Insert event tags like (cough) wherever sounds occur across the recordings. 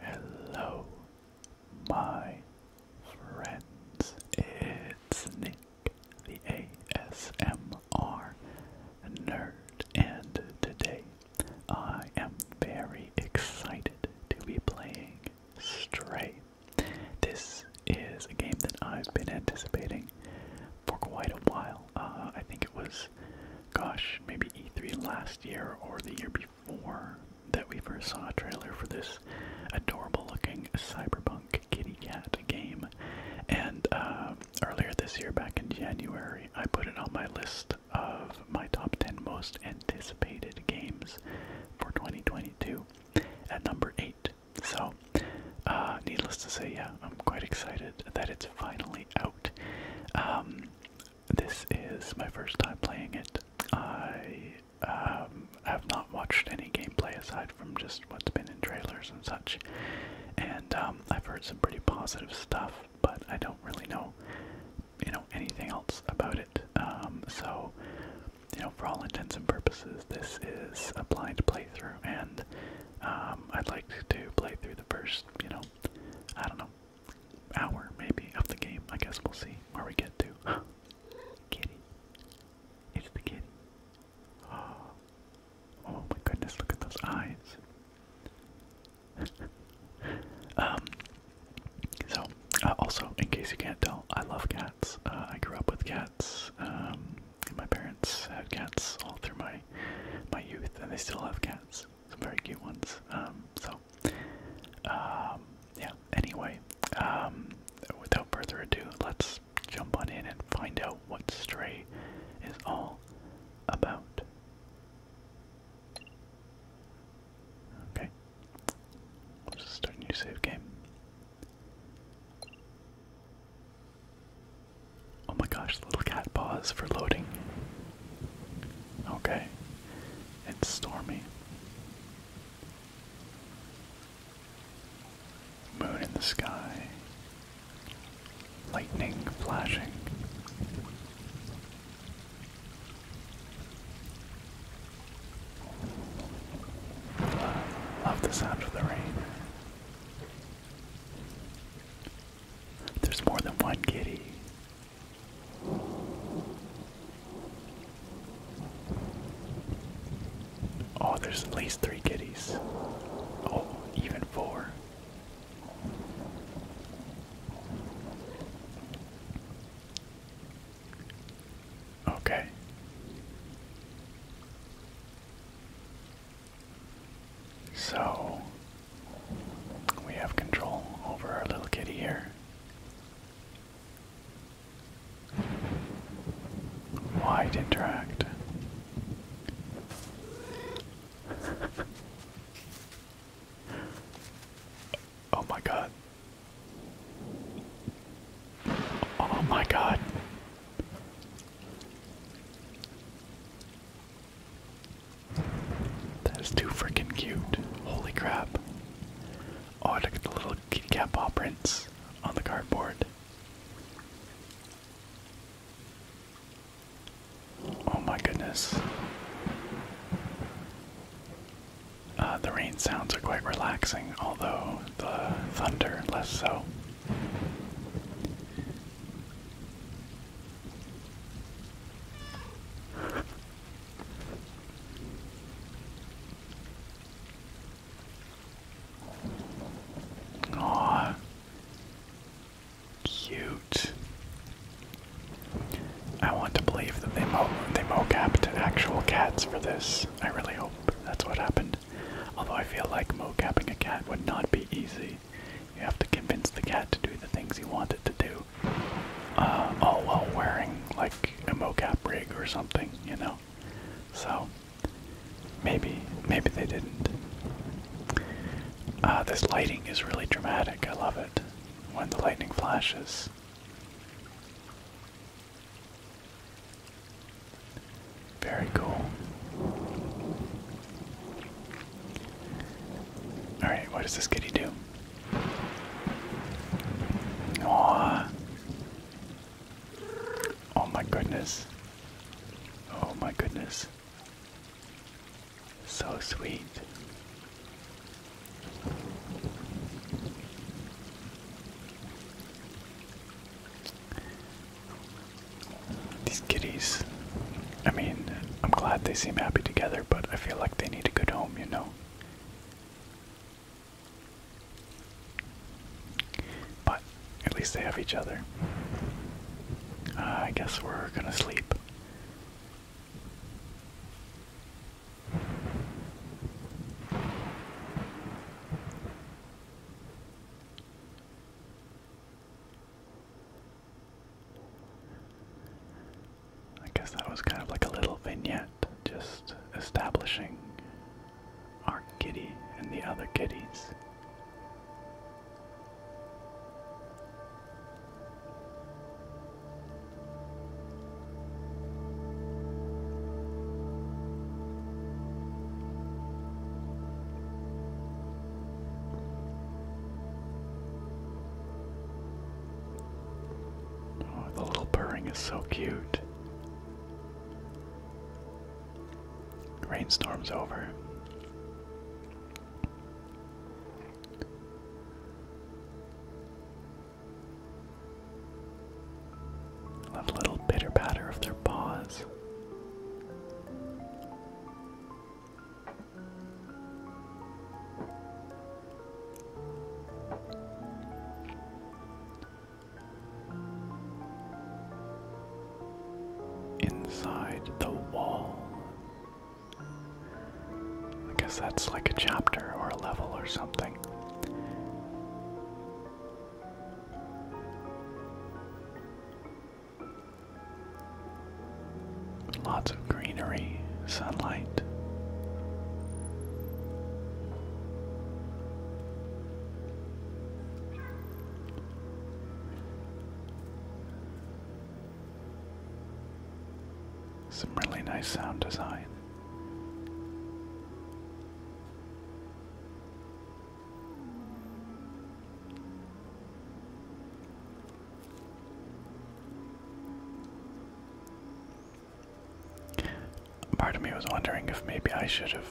Hello, my friends. It's Nick, the ASMR nerd, and today I am very excited to be playing Stray. This is a game that I've been anticipating for quite a while. Uh, I think it was, gosh, maybe E3 last year or the year before that we first saw a trailer for this adorable looking cyberpunk kitty cat game. And uh, earlier this year, back in January, I put it on my list of my top 10 most anticipated games for 2022 at number 8. So, uh, needless to say, yeah, I'm quite excited that it's finally out. Um, this is my first time playing it. I um, have not watched any gameplay aside from just what's been in trailers and such, and um, I've heard some pretty positive stuff but I don't really know, you know, anything else about it. Um, so, you know, for all intents and purposes, this is a blind playthrough, and um, I'd like to play through the first, you know, I don't know, hour maybe of the game. I guess we'll see where we get to. (gasps) kitty, it's the kitty. (gasps) oh my goodness! Look at those eyes um, so, uh, also, in case you can't tell, I love cats. Uh, I grew up with cats. Um, my parents had cats all through my my youth, and they still have cats. Some very cute ones. Um, so, um, yeah. Anyway, um, without further ado, let's jump on in and find out what Stray is all about. Okay. just start new save game. Oh my gosh, little cat paws for loading. Okay. It's stormy. Moon in the sky lightning flashing. love the sound of the rain. There's more than one kitty. Oh, there's at least three kitties. Oh, even four. Okay. So we have control over our little kitty here. Wide interact. Oh my god. Oh my god. That is too freaking cute. Holy crap. Oh, look at the little kitty cat paw prints on the cardboard. Oh my goodness. Uh, the rain sounds are quite relaxing, although the thunder less so. Aww. Cute. I want to believe that they mo they mocapped actual cats for this. I really hope that's what happened. Although I feel like mocapping a cat would not be easy. You have to convince the cat to do the things you want it to do. Uh, all while wearing like a mocap rig or something, you know. So maybe maybe they didn't. Uh, this lighting is really dramatic. I love it when the lightning flashes. Very cool. Alright, what does this kitty do? Aww. Oh my goodness. Oh my goodness. So sweet. These kitties, I mean, I'm glad they seem happy together, but I feel like they need a good home, you know? But at least they have each other. Uh, I guess we're gonna sleep. I guess that was kind of like a little vignette, just establishing our kitty and the other kitties. Oh, the little purring is so cute. Rainstorm's over. That little pitter patter of their paws. Inside the wall I guess that's like a chapter or a level or something. Lots of greenery, sunlight. Some really nice sound design. Part of me was wondering if maybe I should have,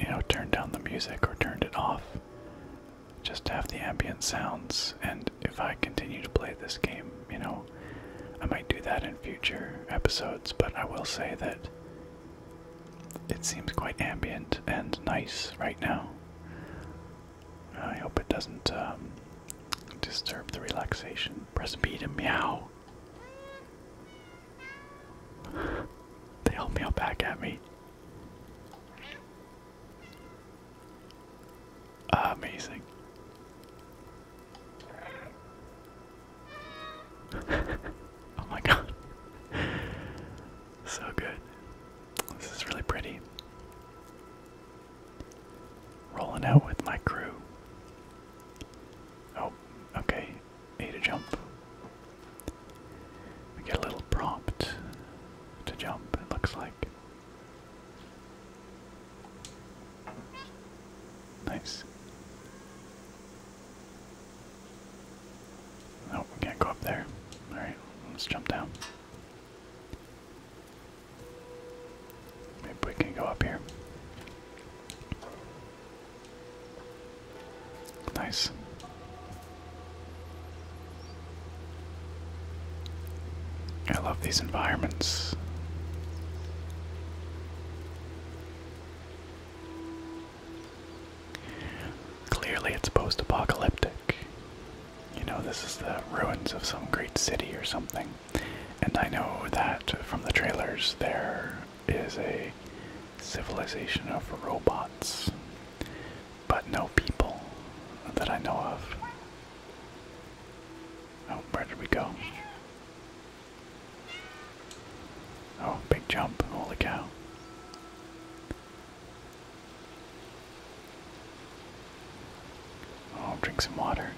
you know, turned down the music or turned it off just have the ambient sounds. And if I continue to play this game, you know, I might do that in future episodes, but I will say that it seems quite ambient and nice right now. I hope it doesn't um, disturb the relaxation. Press B to meow. (laughs) They all meow back at me. Amazing. (laughs) oh my god. So good. This is really pretty. Rolling out with my crew. Oh, okay. Need to jump. We get a little prompt to jump, it looks like. Nice. Oh, we can't go up there. Alright, let's jump down. Maybe we can go up here. Nice. I love these environments. Clearly, it's post apocalyptic. You know, this is the ruins of some great city or something. And I know that from the trailers there is a civilization of robots, but no people that I know of. Oh, where did we go? Oh, big jump. Holy cow. Oh, drink some water.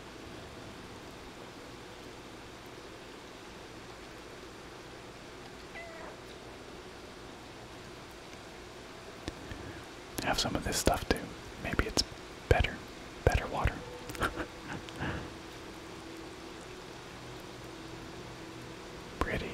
Have some of this stuff too. Maybe it's better. Better water. (laughs) Pretty.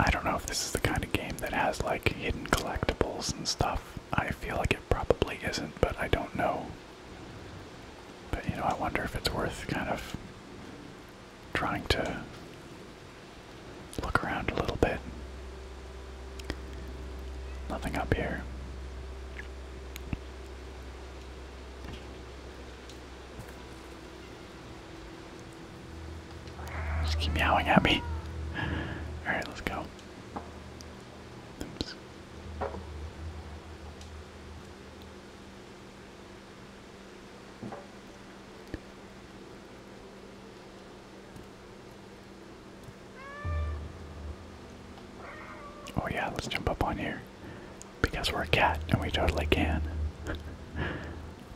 I don't know if this is the kind of game that has like hidden collectibles and stuff. I feel like it probably isn't, but I don't know. But you know, I wonder if it's worth kind of trying to look around a little bit. Nothing up here. Just keep meowing at me. Alright, let's go. Oh yeah, let's jump up on here. Because we're a cat and we totally can. (laughs)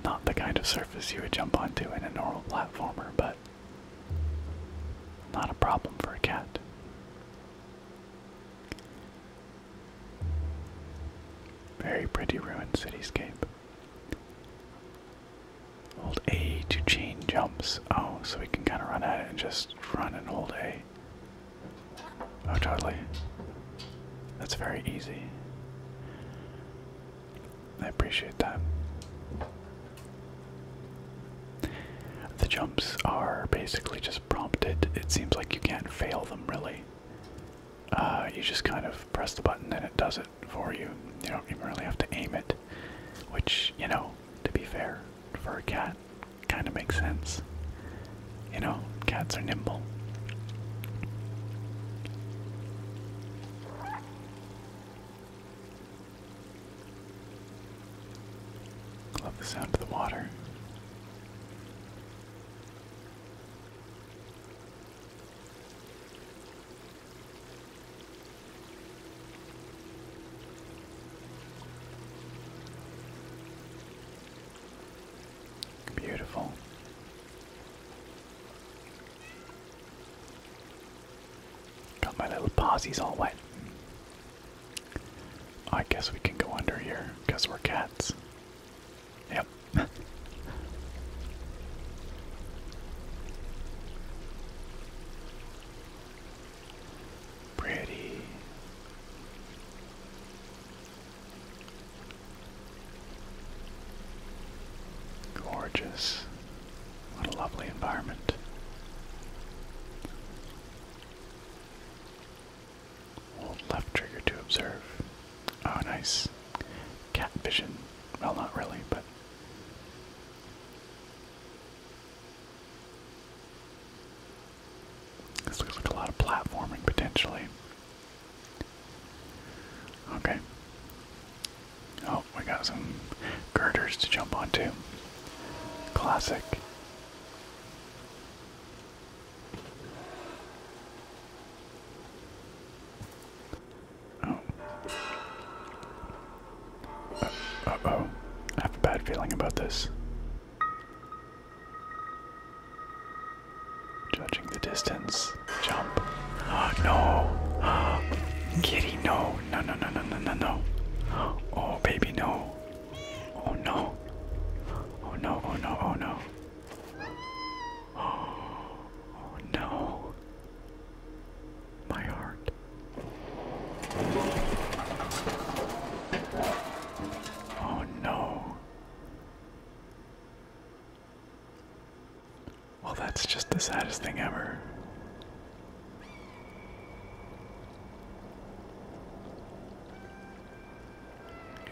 Not the kind of surface you would jump onto in a normal platformer, but not a problem for a cat. Very pretty ruined cityscape. Hold A to chain jumps. Oh, so we can kind of run at it and just run and hold A. Oh, totally. That's very easy. I appreciate that. The jumps are basically just prompted. It seems like you can't fail them really. Uh, you just kind of press the button and it does it for you. You don't even really have to aim it, which, you know, to be fair, for a cat kind of makes sense. You know, cats are nimble. Love the sound of the water. Beautiful. Got my little posies all wet. I guess we can go under here because we're cats. Yep. Pretty. Gorgeous. What a lovely environment. Hold left trigger to observe. Oh, nice. Cat vision. Well, not really, but this looks like a lot of platforming potentially. Okay. Oh, we got some girders to jump onto. Classic. Oh. Uh, uh oh. I have a bad feeling about this. Judging the distance. Jump. Ah, oh, no. Ah, oh, kitty, no. No, no, no, no, no, no, no. Oh, baby, no. Oh, no. Oh, no, oh, no, oh, no. Oh, (gasps) oh no. My heart. Oh no. Well, that's just the saddest thing ever.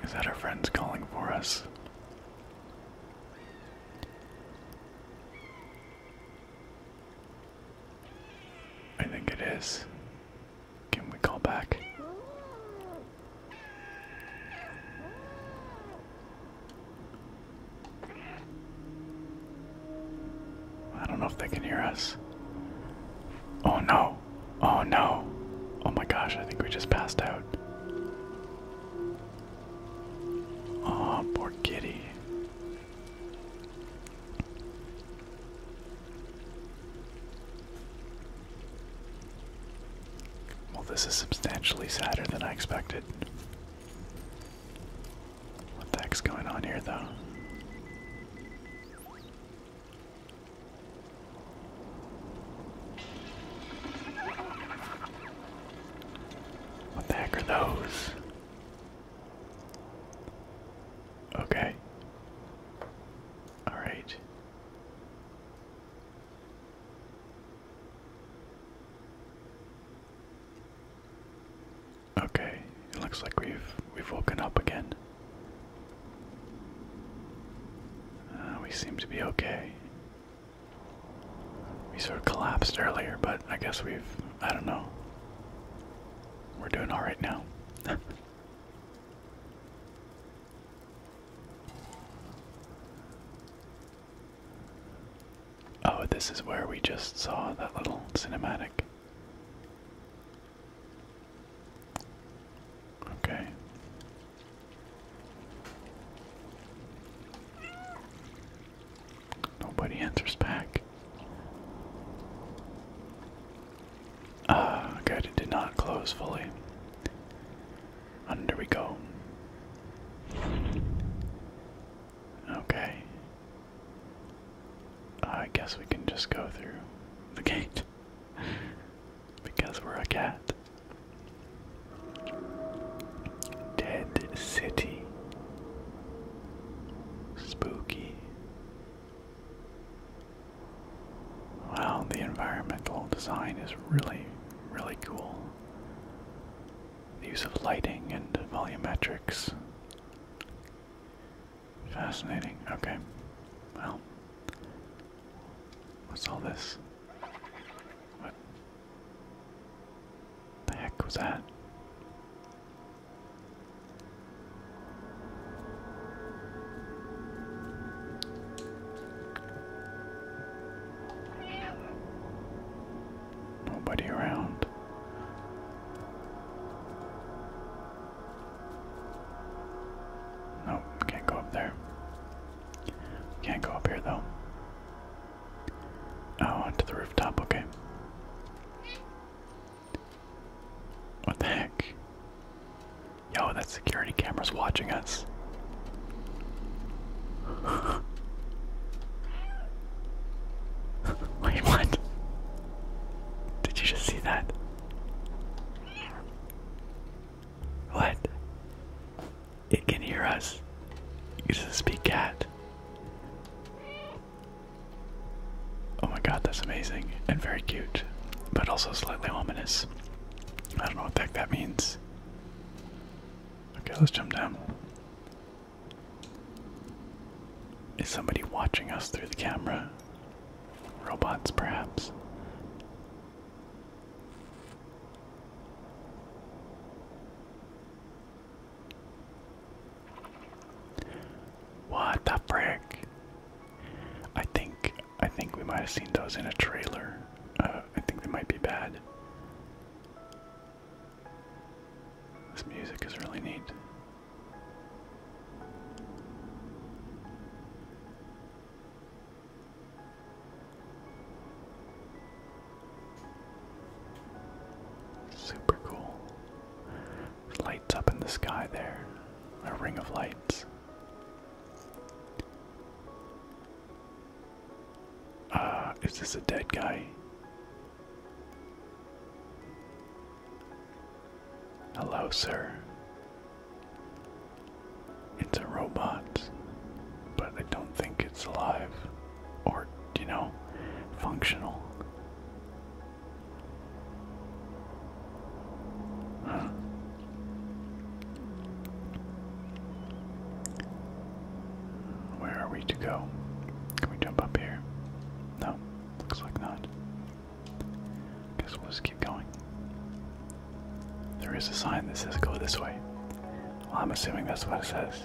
Is that our friends calling for us? I think it is. Can we call back? I don't know if they can hear us. Oh no. Oh no. Oh my gosh, I think we just passed out. Oh, poor kitty. Well, this is substantially sadder than I expected. What the heck's going on here, though? What the heck are those? Okay. All right. Okay, it looks like we've we've woken up again. Uh, we seem to be okay. We sort of collapsed earlier, but I guess we've I don't know. We're doing all right now. (laughs) oh, this is where we just saw that little cinematic. Okay. Nobody answers back. Ah, uh, it did not close fully. Under we go. Okay. I guess we can just go through the gate (laughs) because we're a cat. Dead City. Spooky. Wow, the environmental design is really, really cool. The use of lighting and volumetrics. Fascinating. Okay. Well, what's all this? What the heck was that? Nobody around. Nope, can't go up there. Can't go up here though. Oh, onto the rooftop, okay. What the heck? Yo, that security camera's watching us. (laughs) Wait, what? Did you just see that? What? It can hear us. It uses a speak cat. Oh my god, that's amazing and very cute, but also slightly ominous. I don't know what the heck that means. Okay, let's jump down. Is somebody watching us through the camera? Robots, perhaps? What the frick? I think I think we might have seen those in a trailer. Uh, I think they might be bad. This music is really neat. Super cool. Light up in the sky there. A ring of lights. Uh, is this a dead guy? Hello, sir. It's a robot, but I don't think it's alive or, you know, functional. Where are we to go? Can we jump up here? No, looks like not. Guess we'll just keep going. There is a sign that says go this way. I'm assuming that's what it says.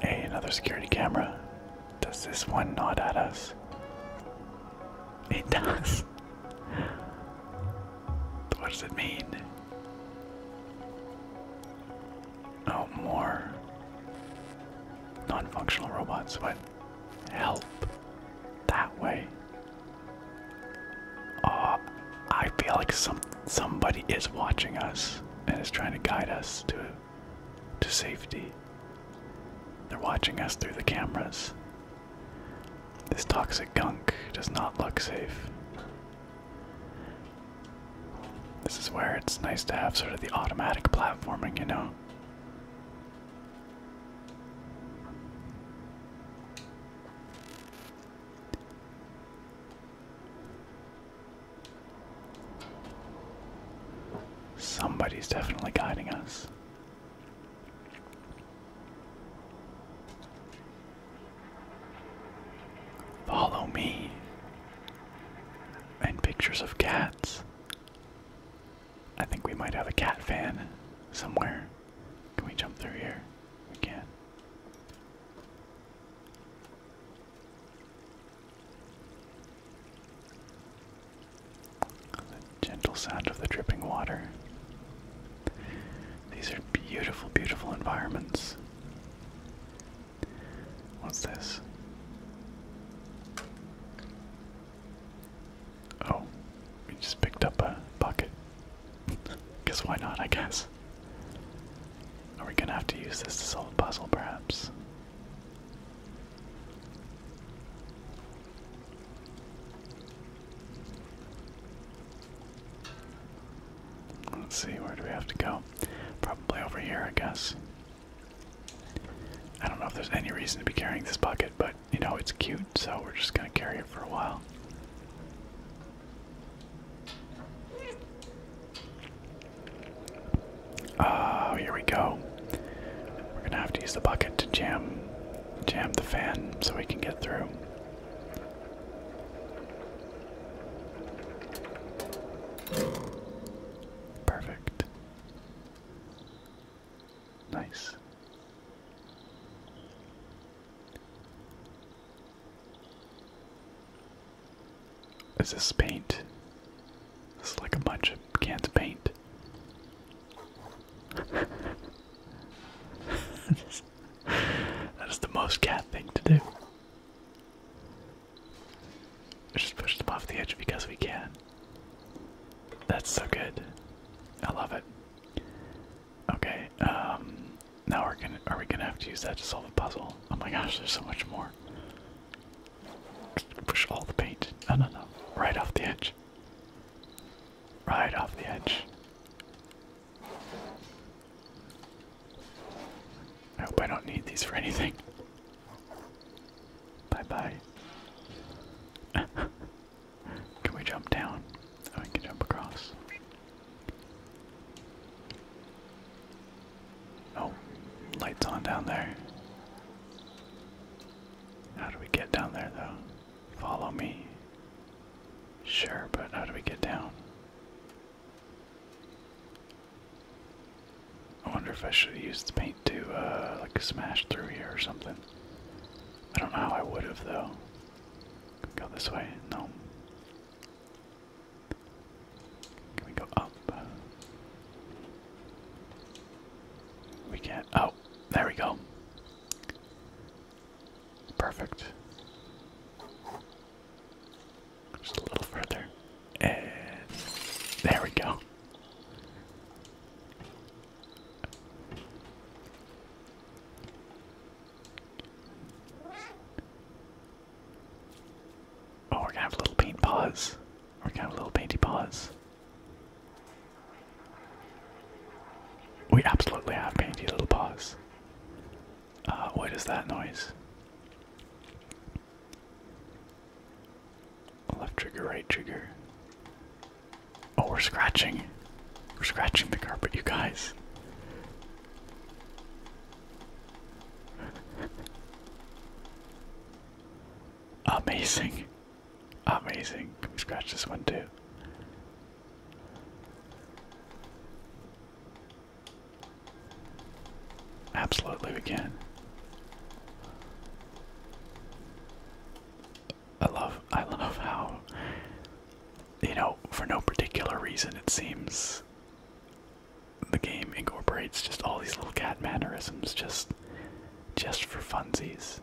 Hey, another security camera. Does this one nod at us? It (laughs) does. what does it mean? Oh, more non functional robots. but Help. That way. Oh, I feel like something somebody is watching us and is trying to guide us to to safety. They're watching us through the cameras. This toxic gunk does not look safe. This is where it's nice to have sort of the automatic platforming, you know. Somebody's definitely guiding us. Follow me. And pictures of cats. I think we might have a cat fan somewhere. Can we jump through here? We can. The gentle sound of the dripping water. These are beautiful, beautiful environments. What's this? Oh, we just picked up a bucket. Because why not, I guess? Are we gonna have to use this to solve a puzzle, perhaps? Let's see, where do we have to go? Probably over here, I guess. I don't know if there's any reason to be carrying this bucket, but you know, it's cute, so we're just gonna carry it for a while. Oh, here we go. We're gonna have to use the bucket to jam, jam the fan so we can get through. Perfect. Nice. Is this paint? This like a bunch of cans of paint. that is the most cat thing to do. I just push them off the edge because we can. That's so good. I love it. Okay, um, now we're gonna are we gonna have to use that to solve a puzzle? Oh my gosh, there's so much more. Push all the paint. No no no. Right off the edge. Right off the edge. I hope I don't need these for anything. (laughs) Bye bye. (laughs) can we jump down? Oh, we can jump across. Oh, lights on down there. How do we get down there though? Follow me. Sure, but how do we get down? I wonder if I should use the paint to uh, like smash through here or something. I don't know how I would have though. Go this way? No. Can we go up? We can't. Oh, there we go. Perfect. Just a little further. And there we go. Oh, we're gonna have little paint paws. We're gonna have little painty paws. We absolutely have painty little paws. Uh, what is that noise? Left trigger, right trigger. Oh, we're scratching. We're scratching the carpet, you guys. Amazing. Amazing. Can we scratch this one too? Absolutely, we can. I love, I love how, you know, for no particular reason, it seems the game incorporates just all these little cat mannerisms just just for funsies.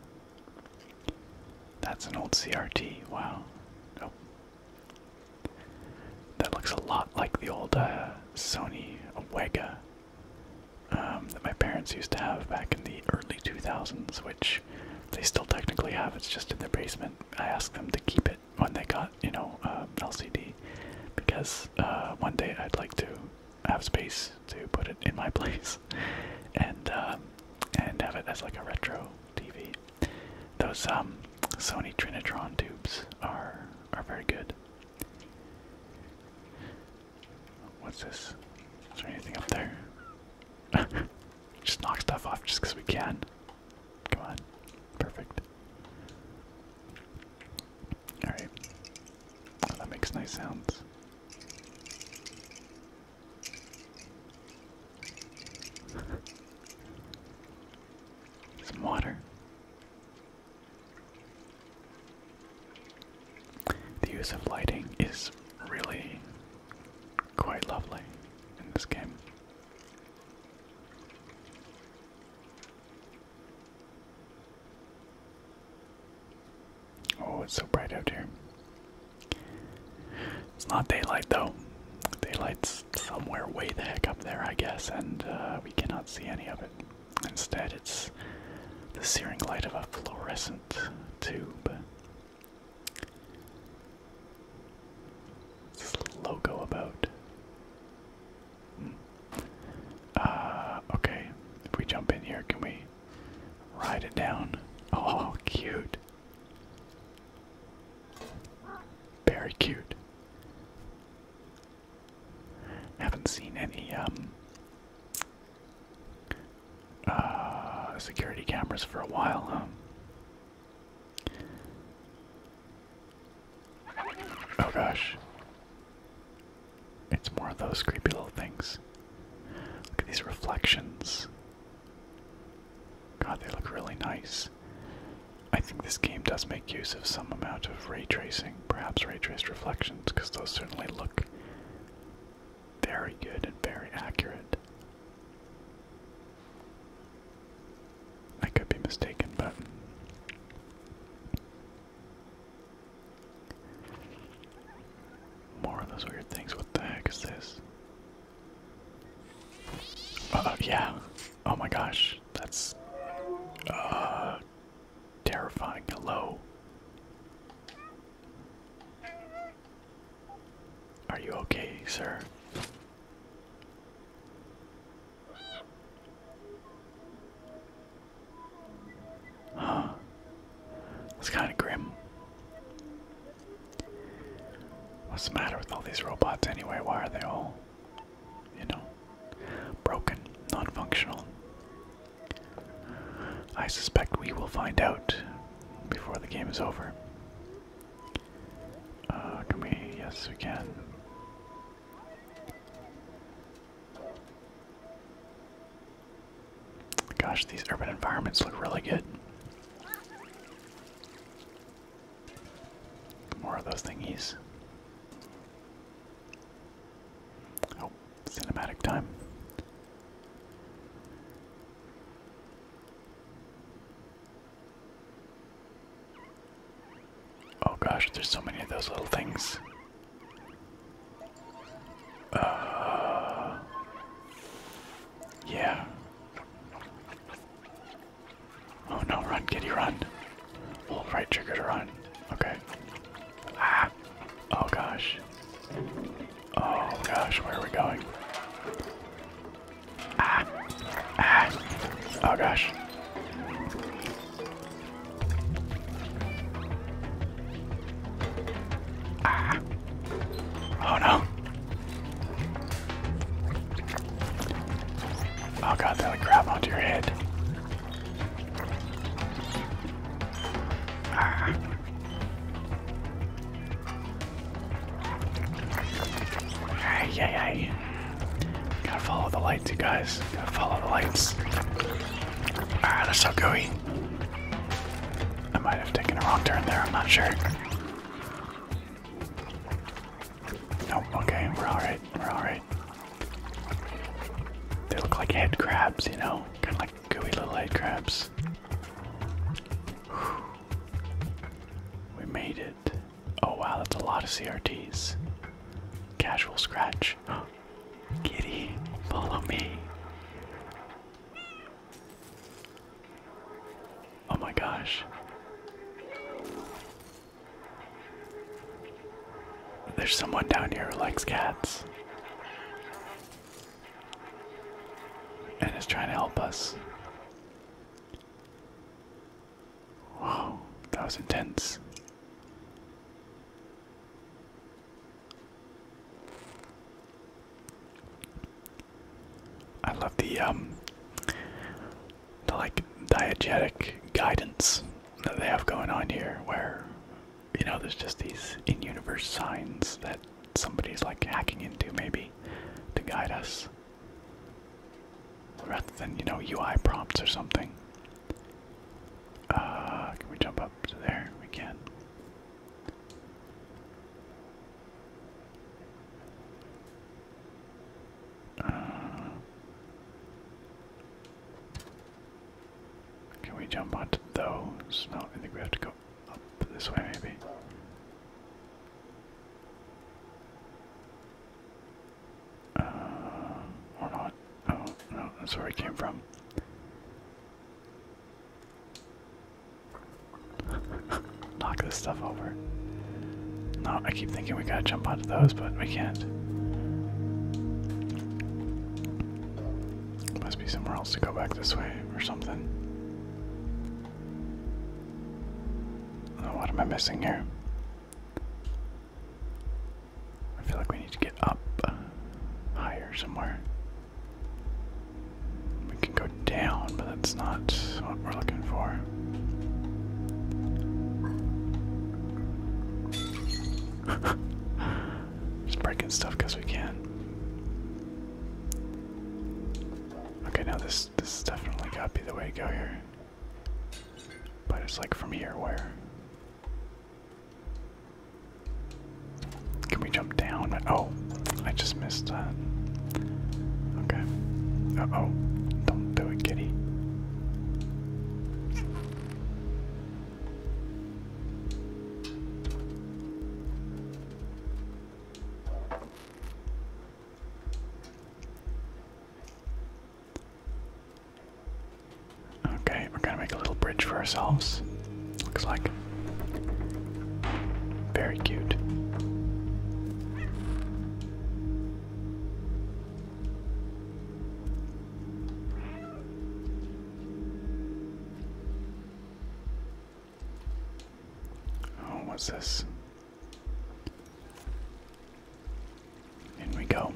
That's an old CRT. Wow. That looks a lot like the old uh, Sony Wega um, that my parents used to have back in the early 2000s, which they still technically have. It's just in their basement. I asked them to keep it when they got you know uh, LCD because uh, one day I'd like to have space to put it in my (laughs) place and um, and have it as like a retro TV. Those um, Sony Trinitron tubes are are very good. What's this? Is there anything up there? (laughs) just knock stuff off just because we can. Come on. Perfect. Alright. that makes nice sounds. (laughs) Some water. The use of lighting is really quite lovely in this game. Oh, it's so bright out here. It's not daylight though. Daylight's somewhere way the heck up there, I guess, and uh, we cannot see any of it. Instead, it's the searing light of a fluorescent tube. What's this logo about? Hmm. Uh, okay. If we jump in here, can we ride it down? Oh, cute. Very cute. Haven't seen any um uh security cameras for a while, huh? Oh gosh. It's more of those creepy little things. Look at these reflections. God, they look really nice. I think this game does make use of some amount of ray tracing, perhaps ray traced reflections, because those certainly look very good and very accurate. I could be mistaken, but more of those weird things. What the heck is this? Uh, uh yeah. Oh my gosh, that's uh, terrifying. Hello. Are you okay, sir? Huh. It's kind of grim. What's the matter with all these robots anyway? Why are they all, you know, broken, non functional? I suspect we will find out before the game is over. Uh, can we? Yes, we can. Gosh, these urban environments look really good. More of those thingies. Oh, cinematic time. Oh gosh, there's so many of those little things. Uh, yeah. Oh no, run, kitty, run. Hold right trigger to run. Okay. Ah. Oh gosh. Oh gosh, where are we going? Ah. Ah. Oh gosh. Ah. Oh no. Oh god, that'll grab onto your head. Ah. Ay, ay, ay. Gotta follow the lights, you guys. Gotta follow the lights. Ah, that's so gooey. I might have taken a wrong turn there, I'm not sure. Nope, okay, we're alright, we're alright. They look like head crabs, you know? Kinda like gooey little head crabs. We made it. Oh wow, that's a lot of CRTs. Casual scratch. (gasps) Kitty, follow me. Oh my gosh. There's someone down here who likes cats. And is trying to help us. Wow, that was intense. I love the um the like diegetic guidance that they have going on here where you know there's just these in universe signs that somebody's like hacking into maybe to guide us. Rather than, you know, UI prompts or something. Uh, can we jump up there? We can. Uh, can we jump onto those? No, I think we have to go up this way, maybe. Uh, or not. Oh, no, that's where it came from. (laughs) Knock this stuff over. No, I keep thinking we gotta jump onto those, but we can't. Must be somewhere else to go back this way or something. Oh, what am I missing here? I feel like we need to get up higher somewhere. We can go down, but that's not what we're looking for. (laughs) Just breaking stuff because we can. Okay, now this this is definitely gotta be the way to go here. But it's like from here where? Can we jump down? Oh, I just missed that. Okay. Uh oh. Don't do it, kitty. Okay, we're gonna make a little bridge for ourselves. Looks like. Very cute. Oh, what's this? In we go.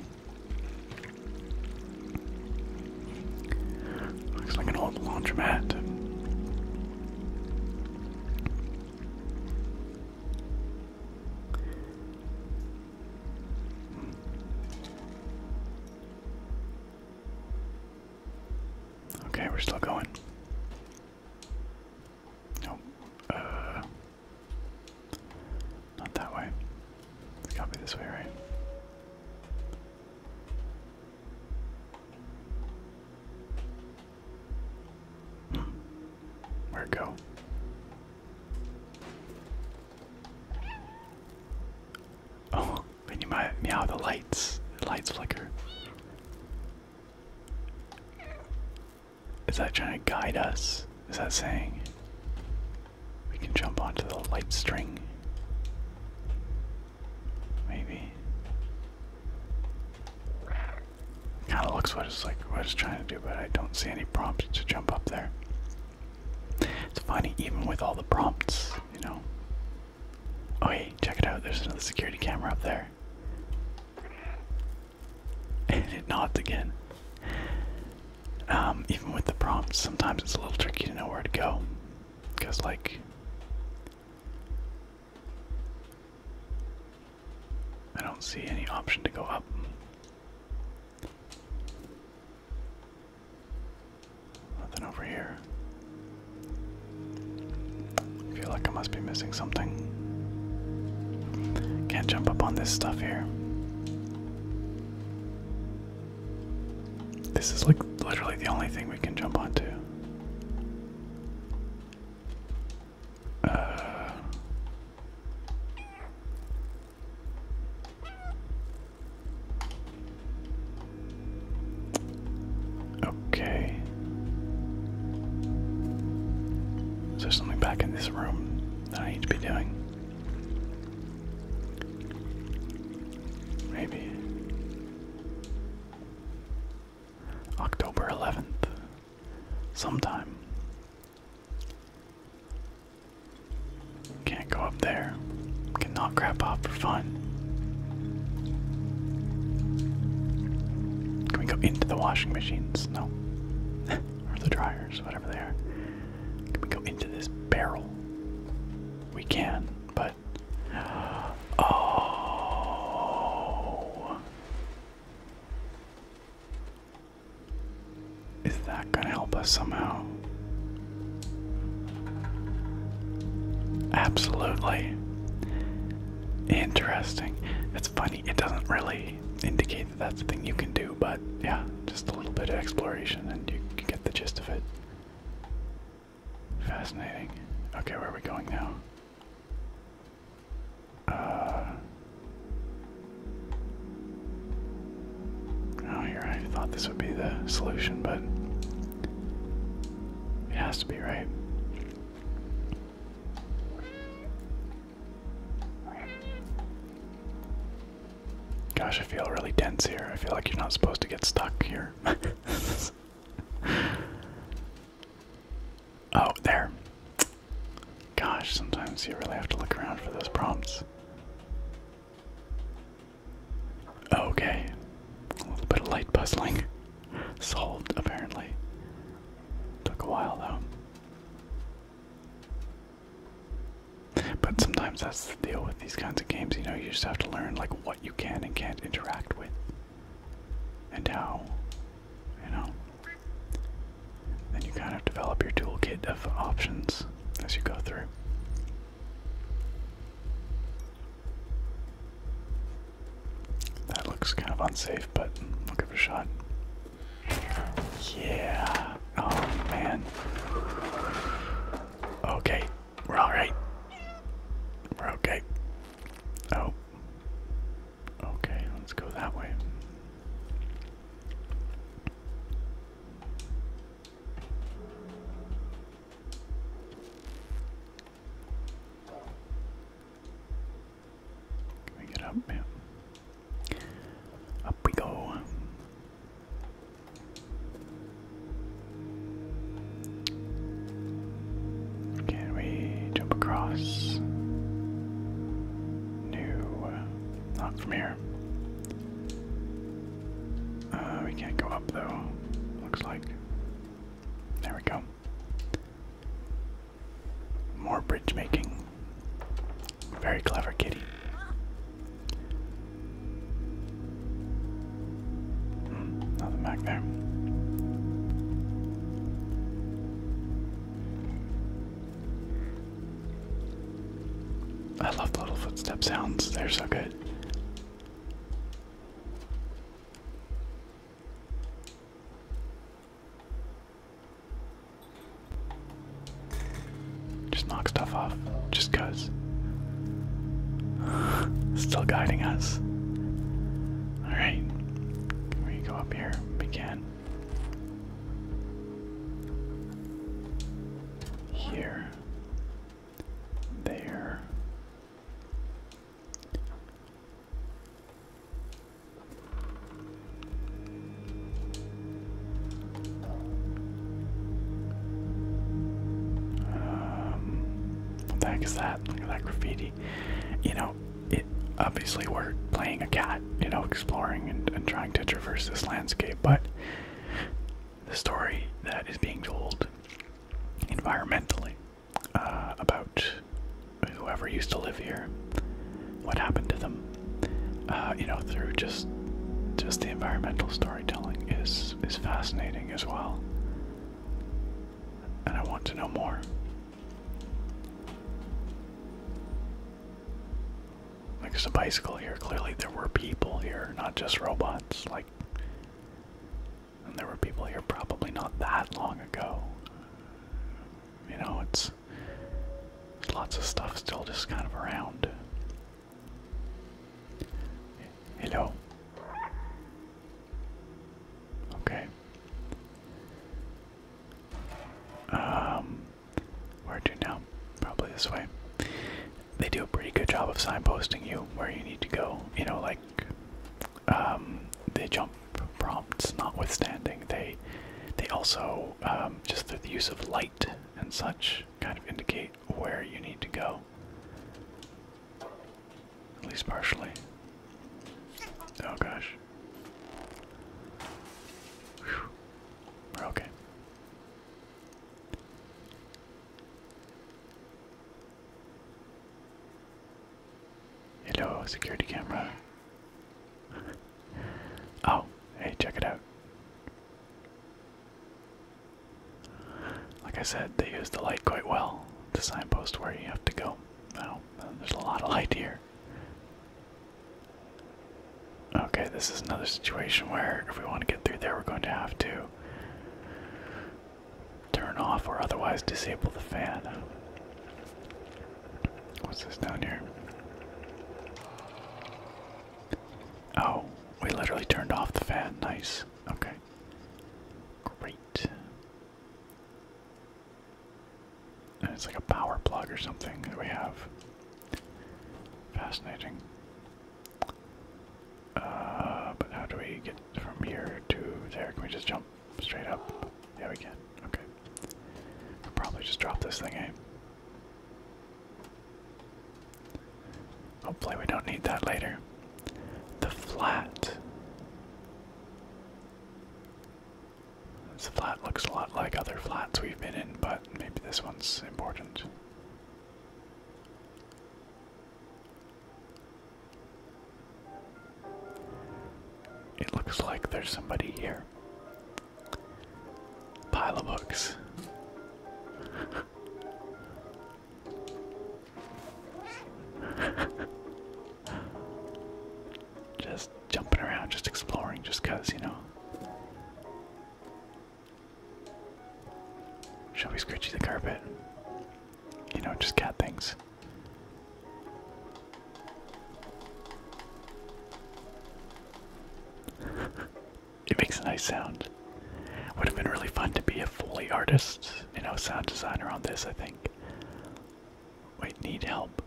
Looks like an old laundromat. Okay, we're still going. Nope. Uh not that way. It's gotta be this way, right? Hmm. Where'd it go? Oh, (laughs) when you might meow the lights. lights flicker. Is that trying to guide us? Is that saying we can jump onto the light string? Maybe. Kind of looks what it's like, what it's trying to do, but I don't see any prompts to jump up there. It's funny, even with all the prompts, you know. Oh, hey, check it out. There's another security camera up there and it nods again. Um, even with the prompts, sometimes it's a little tricky to know where to go. Because, like, I don't see any option to go up. Nothing over here. I feel like I must be missing something. Can't jump up on this stuff here. This is like literally the only thing we can jump onto. Uh. okay. Is there something back in this room that I need to be doing? Maybe. October 11th. Sometime. Can't go up there. Cannot grab crap off for fun. Can we go into the washing machines? No or the dryers, whatever they are. Can we go into this barrel? We can, but (gasps) oh, is that gonna help us somehow? Absolutely. Interesting funny, it doesn't really indicate that that's a thing you can do, but yeah, just a little bit of exploration and you can get the gist of it. Fascinating. Okay, where are we going now? Uh. Oh, here I thought this would be the solution, but it has to be right. Gosh, I feel really dense here. I feel like you're not supposed to get stuck here. (laughs) oh, there. Gosh, sometimes you really have to look around for those prompts. Okay. A little bit of light puzzling. (laughs) Solved, apparently. Took a while, though. But sometimes that's the deal with these kinds of games, you know, you just have to learn like what you can and can't interact with. And how, you know. Then you kind of develop your toolkit of options as you go through. That looks kind of unsafe, but I'll give it a shot. Yeah. Oh, man. Okay. We're alright. We're okay. Oh. Okay, let's go that way. Can we up? Yeah. Up we go. Can we jump across? No. Not from here. Uh, we can't go up though, looks like. There we go. More bridge making. Very clever kitty. Hmm, nothing back there. I love the little footstep sounds, they're so good. Just knock stuff off, just cuz. (sighs) Still guiding us. Alright. We go up here. We can. Here. There. Um, what the heck is that? Look at that graffiti. You know, it obviously we're playing a cat, you know, exploring and, trying to traverse this landscape, but the story that is being told environmentally uh, about whoever used to live here, what happened to them, uh, you know, through just just the environmental storytelling is is fascinating as well, and I want to know more. Like there's a bicycle here. Clearly, there were people here, not just robots. Like, there were people here probably not that long ago. You know, it's Lots of stuff still just kind of around. Hello. Okay. Um, where to now? Probably this way. They do a pretty good job of signposting you where you need to go. You know, like um, they jump prompts notwithstanding, they they also um, just through the use of light and such kind of indicate where you need to go. At least partially. Oh gosh. okay. Hello, security camera. (laughs) Oh, hey, check it out. Like I said, they use the light quite well to signpost where you have to go. Now, there's a lot of light here. Okay, this is another situation where if we want to get through there, we're going to have to turn off or otherwise disable the fan. What's this down here? Oh, we literally turned off the fan. Nice. Okay. Great. And it's like a power plug or something that we have. Fascinating. Uh, but how do we get from here to there? Can we just jump? Straight up. Yeah, we can. Okay. we probably just drop this thing, in. Eh? Hopefully we don't need that later. The flat. This flat looks a lot like other flats we've been in, but maybe this one's important. It looks like there's somebody here. Pile of books. (laughs) just jumping around, just exploring, just cuz, you know. Shall we scritchy the carpet? You know, just cat things it makes a nice sound. Would have been really fun to be a Foley artist, you know, sound designer on this, I think. Wait, need help.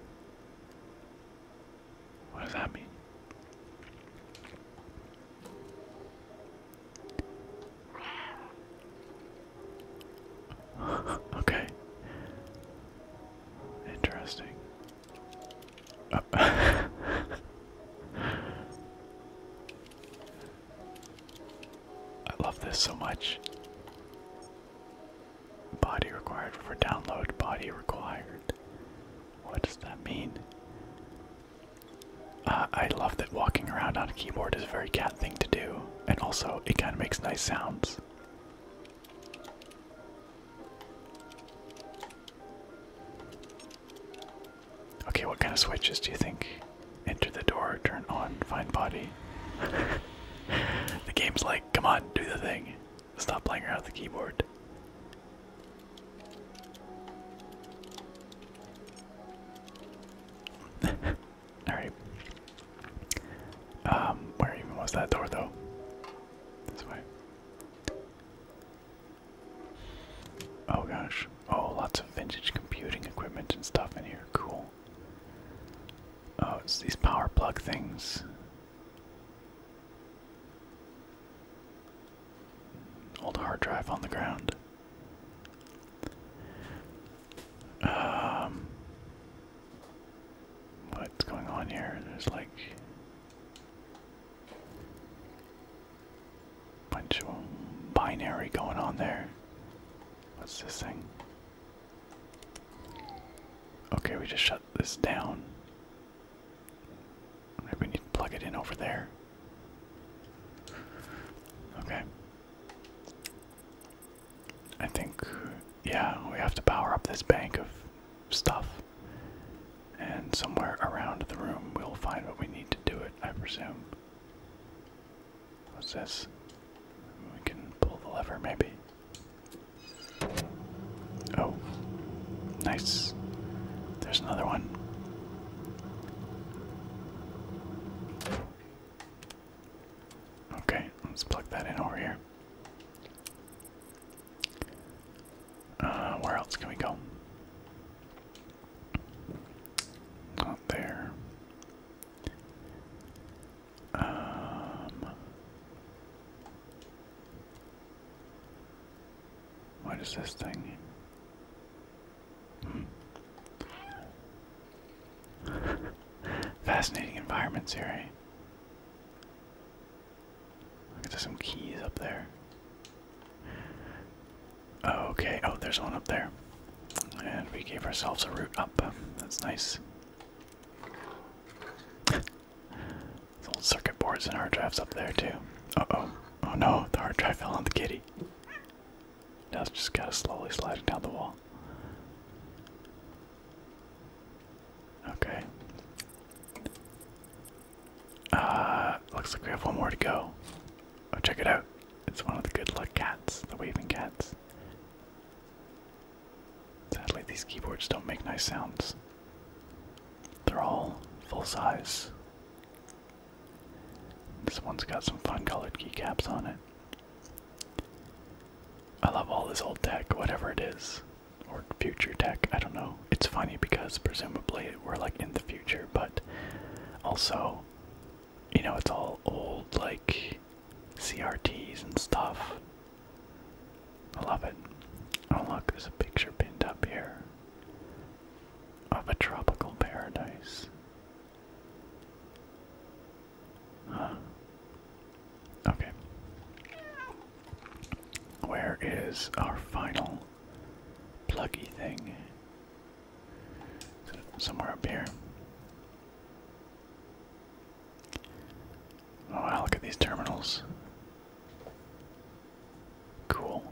What does that mean? (laughs) okay. Interesting. Uh, (laughs) I love this so much. Body required for download, body required. What does that mean? Uh, I love that walking around on a keyboard is a very cat thing to do, and also it kind of makes nice sounds. Okay, what kind of switches do you think? Enter the door, turn on, find body. the game's like, come on, do the thing. Stop playing around with the keyboard. (laughs) Alright. Um, where even was that door though? This way. Oh gosh. Oh, lots of vintage computing equipment and stuff in here. Cool. Oh, it's these power plug things. Old hard drive on the ground. Um, What's going on here? There's like a bunch of binary going on there. What's this thing? Okay, we just shut this down. Maybe we need to plug it in over there. Okay. I think, yeah, we have to power up this bank of stuff. And somewhere around the room we'll find what we need to do it, I presume. What's this? We can pull the lever, maybe. Oh. Nice. There's another one. Okay, let's plug that in over here. Uh, where else can we go? Not there. Um, what is this thing? Hmm. (laughs) Fascinating environments here, eh? Look, there's some keys up there. Okay, oh, there's one up there. And we gave ourselves a route up. That's nice. (laughs) Those old circuit boards and hard drives up there, too. oh. Oh no, the hard drive fell on the kitty. Now it's just gotta slowly slide it down the wall. Okay. Uh, looks like we have one more to go. Oh, check it out. It's one of the good luck cats, the waving cats. Sadly, these keyboards don't make nice sounds. They're all full size. This one's got some fun colored keycaps on it. I love all this old tech, whatever it is or future tech. I don't know. It's funny because presumably we're like in the future, but also, you know, it's all old like CRTs and stuff. I love it. Oh, look, there's a picture pinned up here of a tropical paradise. Huh. Okay. Where is our final pluggy thing? somewhere up here? Oh, look at these terminals. Cool.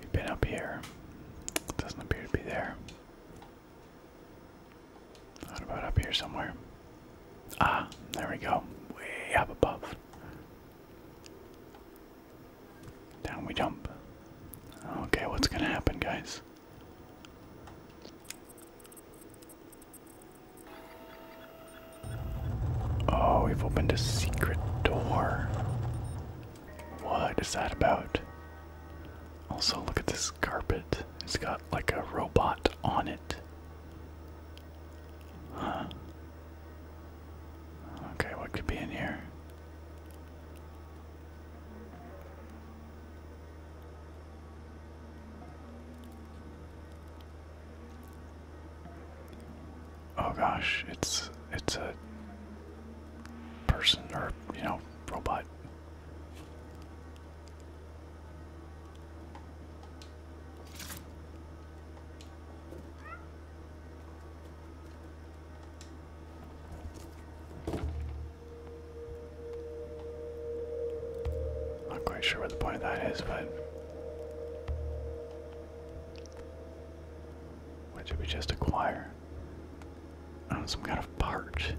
We've been up here. Doesn't appear to be there. What about up here somewhere? Ah, there we go. Way up above. Down we jump. Okay, what's gonna happen, guys? Oh, we've opened a secret door. What is that about? Also, look at this carpet. It's got like a robot on it. Okay, what could be in here? Oh gosh, it's it's a person or you know robot. Not quite sure what the point that is, but what did we just acquire? Uh, some kind of barge.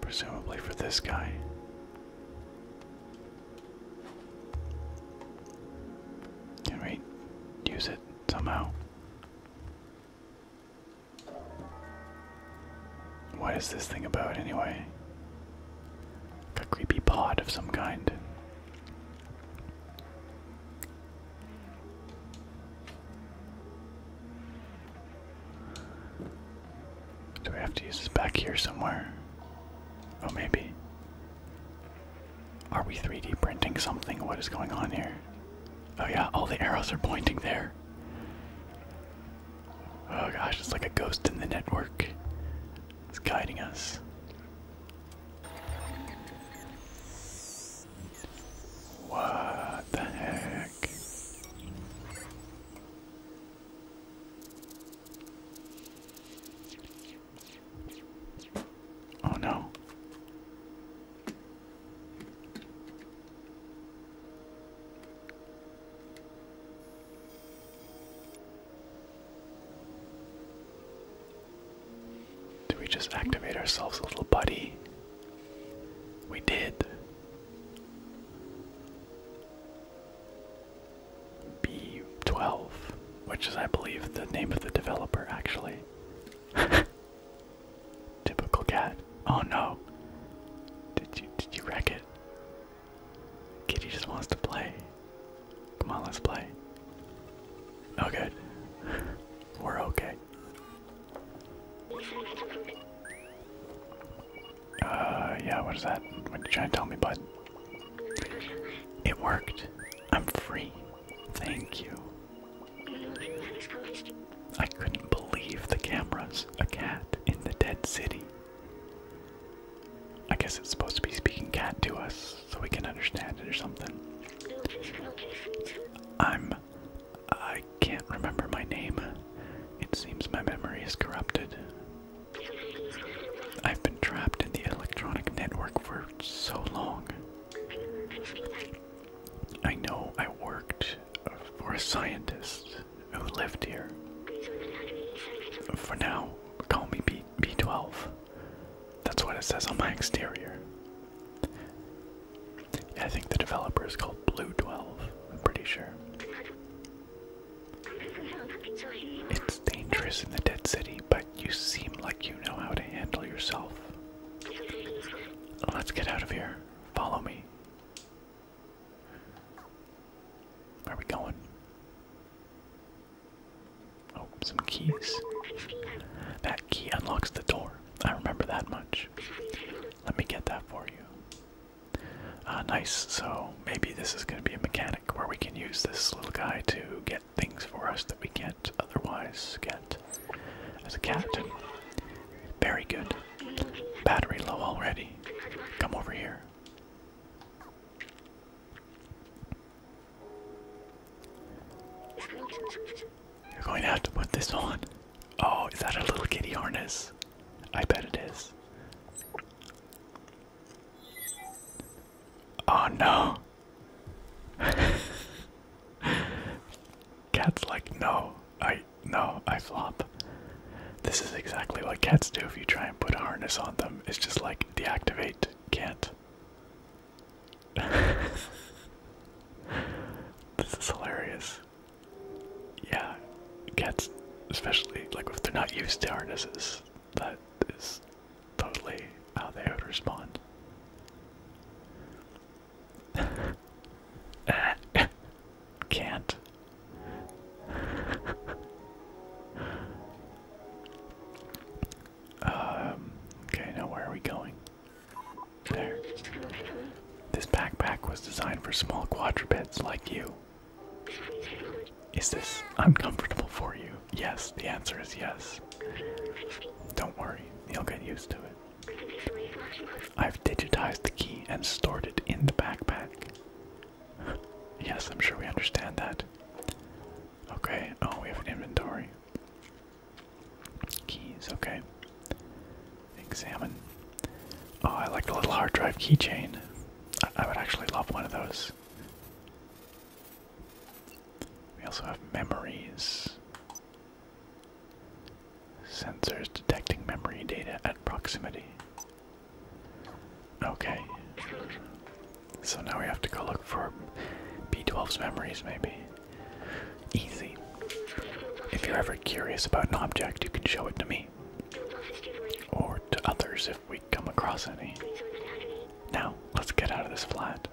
Presumably for this guy. Can use it somehow? What is this thing about anyway? a creepy pod of some kind. Do we have to use this back here somewhere? Oh, maybe. Are we 3D printing something? What is going on here? Oh, yeah, all the arrows are pointing there. Oh gosh, it's like a ghost in the network. It's guiding us. What the heck? Oh no. Do we just activate ourselves a little buddy? We did. B12, which is, I believe, the name of the developer, actually. (laughs) Typical cat. Oh no! Did you did you wreck it? Kitty just wants to play. Come on, let's play. Oh good. (laughs) We're okay. Uh, yeah, what is that? What you trying to tell me, bud? It worked. I'm free. Thank you. I couldn't believe the cameras. A cat in the dead city. I guess it's supposed to be speaking cat to us so we can understand it or something. I'm I can't remember my name. It seems my memory is corrupted. I've been trapped in the electronic network for so long. I know I worked for a scientist who lived here. For now, call me B B12. That's what it says on my exterior. I think the developer is called Blue 12, I'm pretty sure. It's dangerous in the Dead City, but you seem like you know how to handle yourself. Let's get out of here. Follow me. Where are we going? Oh, some keys. That key unlocks the door. I remember that much. Let me get that for you. Uh, nice. So maybe this is going to be a mechanic where we can use this little guy to get things for us that we can't otherwise get as a captain. Very good. Battery low already. Come over here. You're going to have to put this on. Oh, is that a little kitty harness? I bet it is. Oh no. (laughs) Cat's like, no, I, no, I flop. This is exactly what cats do if you try and put a harness on them. It's just like deactivate, can't. (laughs) this is hilarious yeah, cats, especially like if they're not used to harnesses, that is totally how they would respond. (laughs) Can't. (laughs) um, okay, now where are we going? There. This backpack was designed for small quadrupeds like you. Is this uncomfortable for you? Yes, the answer is yes. Don't worry, you'll get used to it. I've digitized the key and stored it in the backpack. (laughs) yes, I'm sure we understand that. Okay, oh, we have an inventory. Keys, okay. Examine. Oh, I like the little hard drive keychain. I, I would actually love one of those. We also have memories. Sensors detecting memory data at proximity. Okay. So now we have to go look for B12's memories, maybe. Easy. If you're ever curious about an object, you can show it to me. Or to others if we come across any. Now, let's get out of this flat.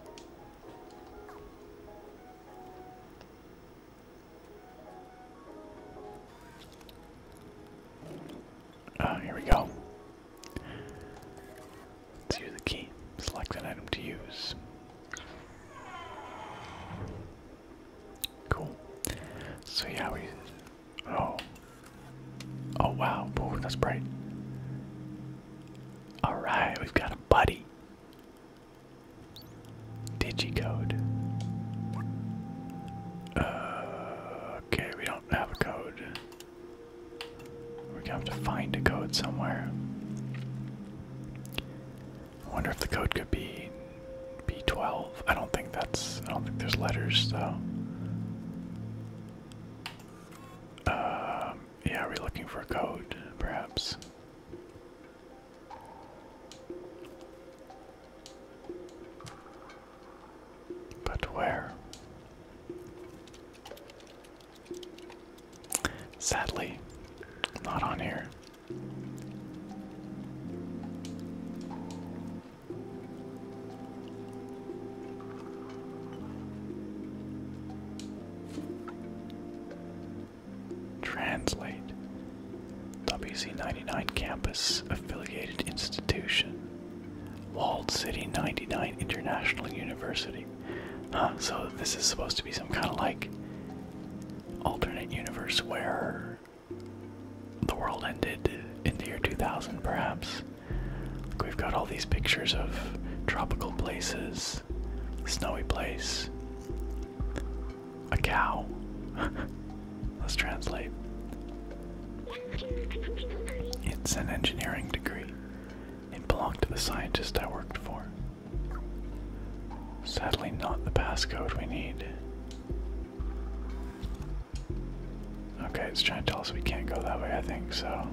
Uh, here we go. use the key. Select an item to use. Cool. So yeah, we. Oh. Oh wow! Ooh, that's bright. All right, we've got a buddy. Digicode. Uh, okay, we don't have a code. We're gonna have to find a code somewhere. I wonder if the code could be B12. I don't think that's. I don't think there's letters though. Um, yeah, are looking for a code, perhaps? But where? Sadly, not on here. Translate. WC99 Campus Affiliated Institution. Walled City 99 International University. Huh, so this is supposed to be some kind of like alternate universe where the world ended in the year 2000, perhaps. we've got all these pictures of tropical places, snowy place, a cow. (laughs) Let's translate. It's an engineering degree. It belonged to the scientist I worked for. Sadly, not the passcode we need. Okay, it's trying to tell us we can't go that way, I think, so.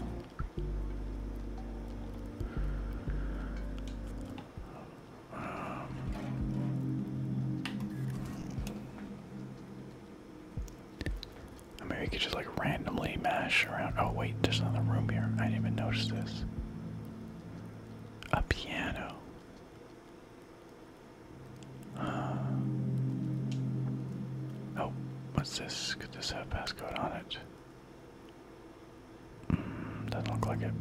Um, we could just like randomly mash around. Oh, wait, there's another room here. I didn't even notice this. A piano. Uh, oh, what's this? Could this have passcode on it? Hmm, doesn't look like it.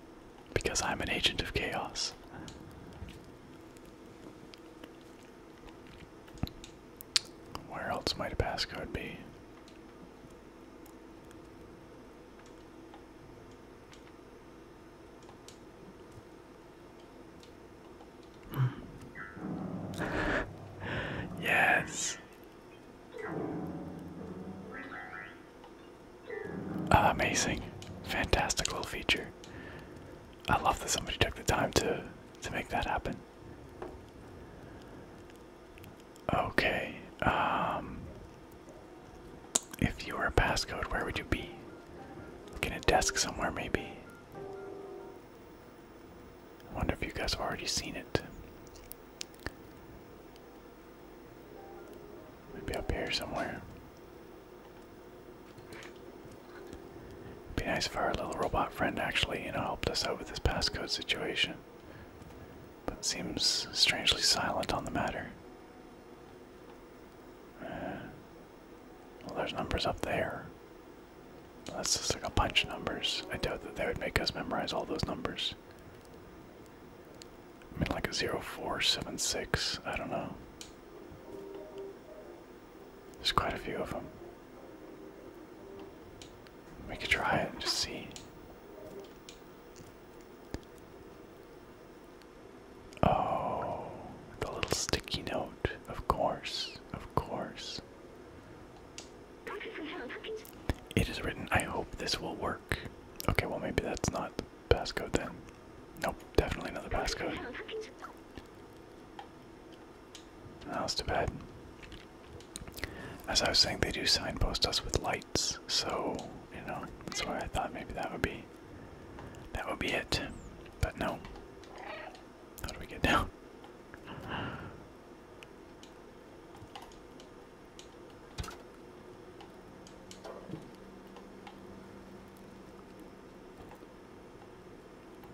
(laughs) because I'm an agent of chaos. Where else might a passcode be? (laughs) yes. Ah, amazing. Fantastic little feature. I love that somebody took the time to to make that happen. Okay. Um, if you were a passcode, where would you be? Like in a desk somewhere, maybe. I wonder if you guys have already seen it. Maybe up here somewhere. Be nice if our little robot friend actually, you know, helped us out with this passcode situation. But seems strangely silent on the matter. Uh, well, there's numbers up there. That's just like a bunch of numbers. I doubt that they would make us memorize all those numbers. I mean, like a 0476, I don't know. There's quite a few of them. We could try it and just see. Oh, the little sticky note. Of course, of course. It is written, I hope this will work. Okay, well, maybe that's not the passcode then. Nope, definitely not the passcode. That was too bad. As I was saying, they do signpost us with lights, so you know that's why I thought maybe that would be that would be it. But no. How do we get down?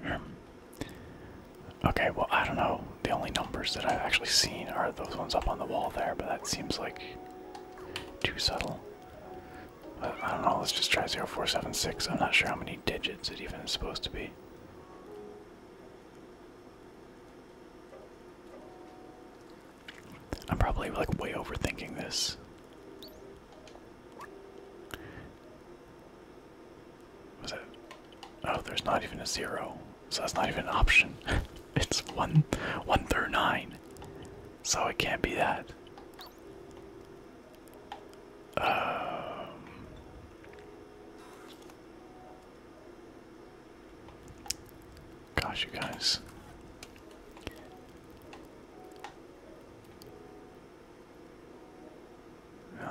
Hmm. Okay, well, I don't know. The only numbers that I've actually seen are those ones up on the wall there, but that seems like too subtle. I don't know, let's just try 0476. I'm not sure how many digits it even is supposed to be. I'm probably like way overthinking this. Was it? Oh, there's not even a zero, so that's not even an option. (laughs) it's one, one through nine, so it can't be that. Um, gosh, you guys.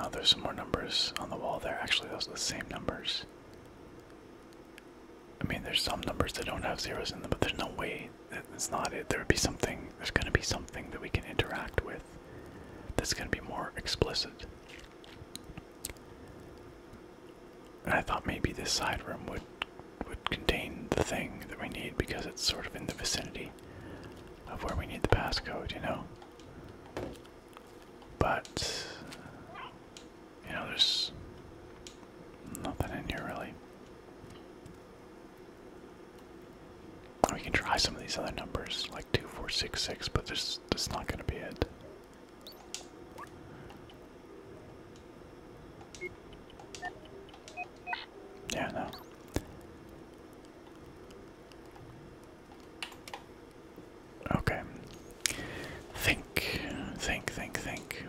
Oh, there's some more numbers on the wall there. Actually, those are the same numbers. I mean, there's some numbers that don't have zeros in them, but there's no way that's not it. There would be something, there's going to be something that we can interact with that's going to be more explicit. I thought maybe this side room would would contain the thing that we need because it's sort of in the vicinity of where we need the passcode, you know? But, you know, there's nothing in here really. We can try some of these other numbers, like 2466, but there's, that's not going to be it. Yeah, no. Okay. Think, think, think, think.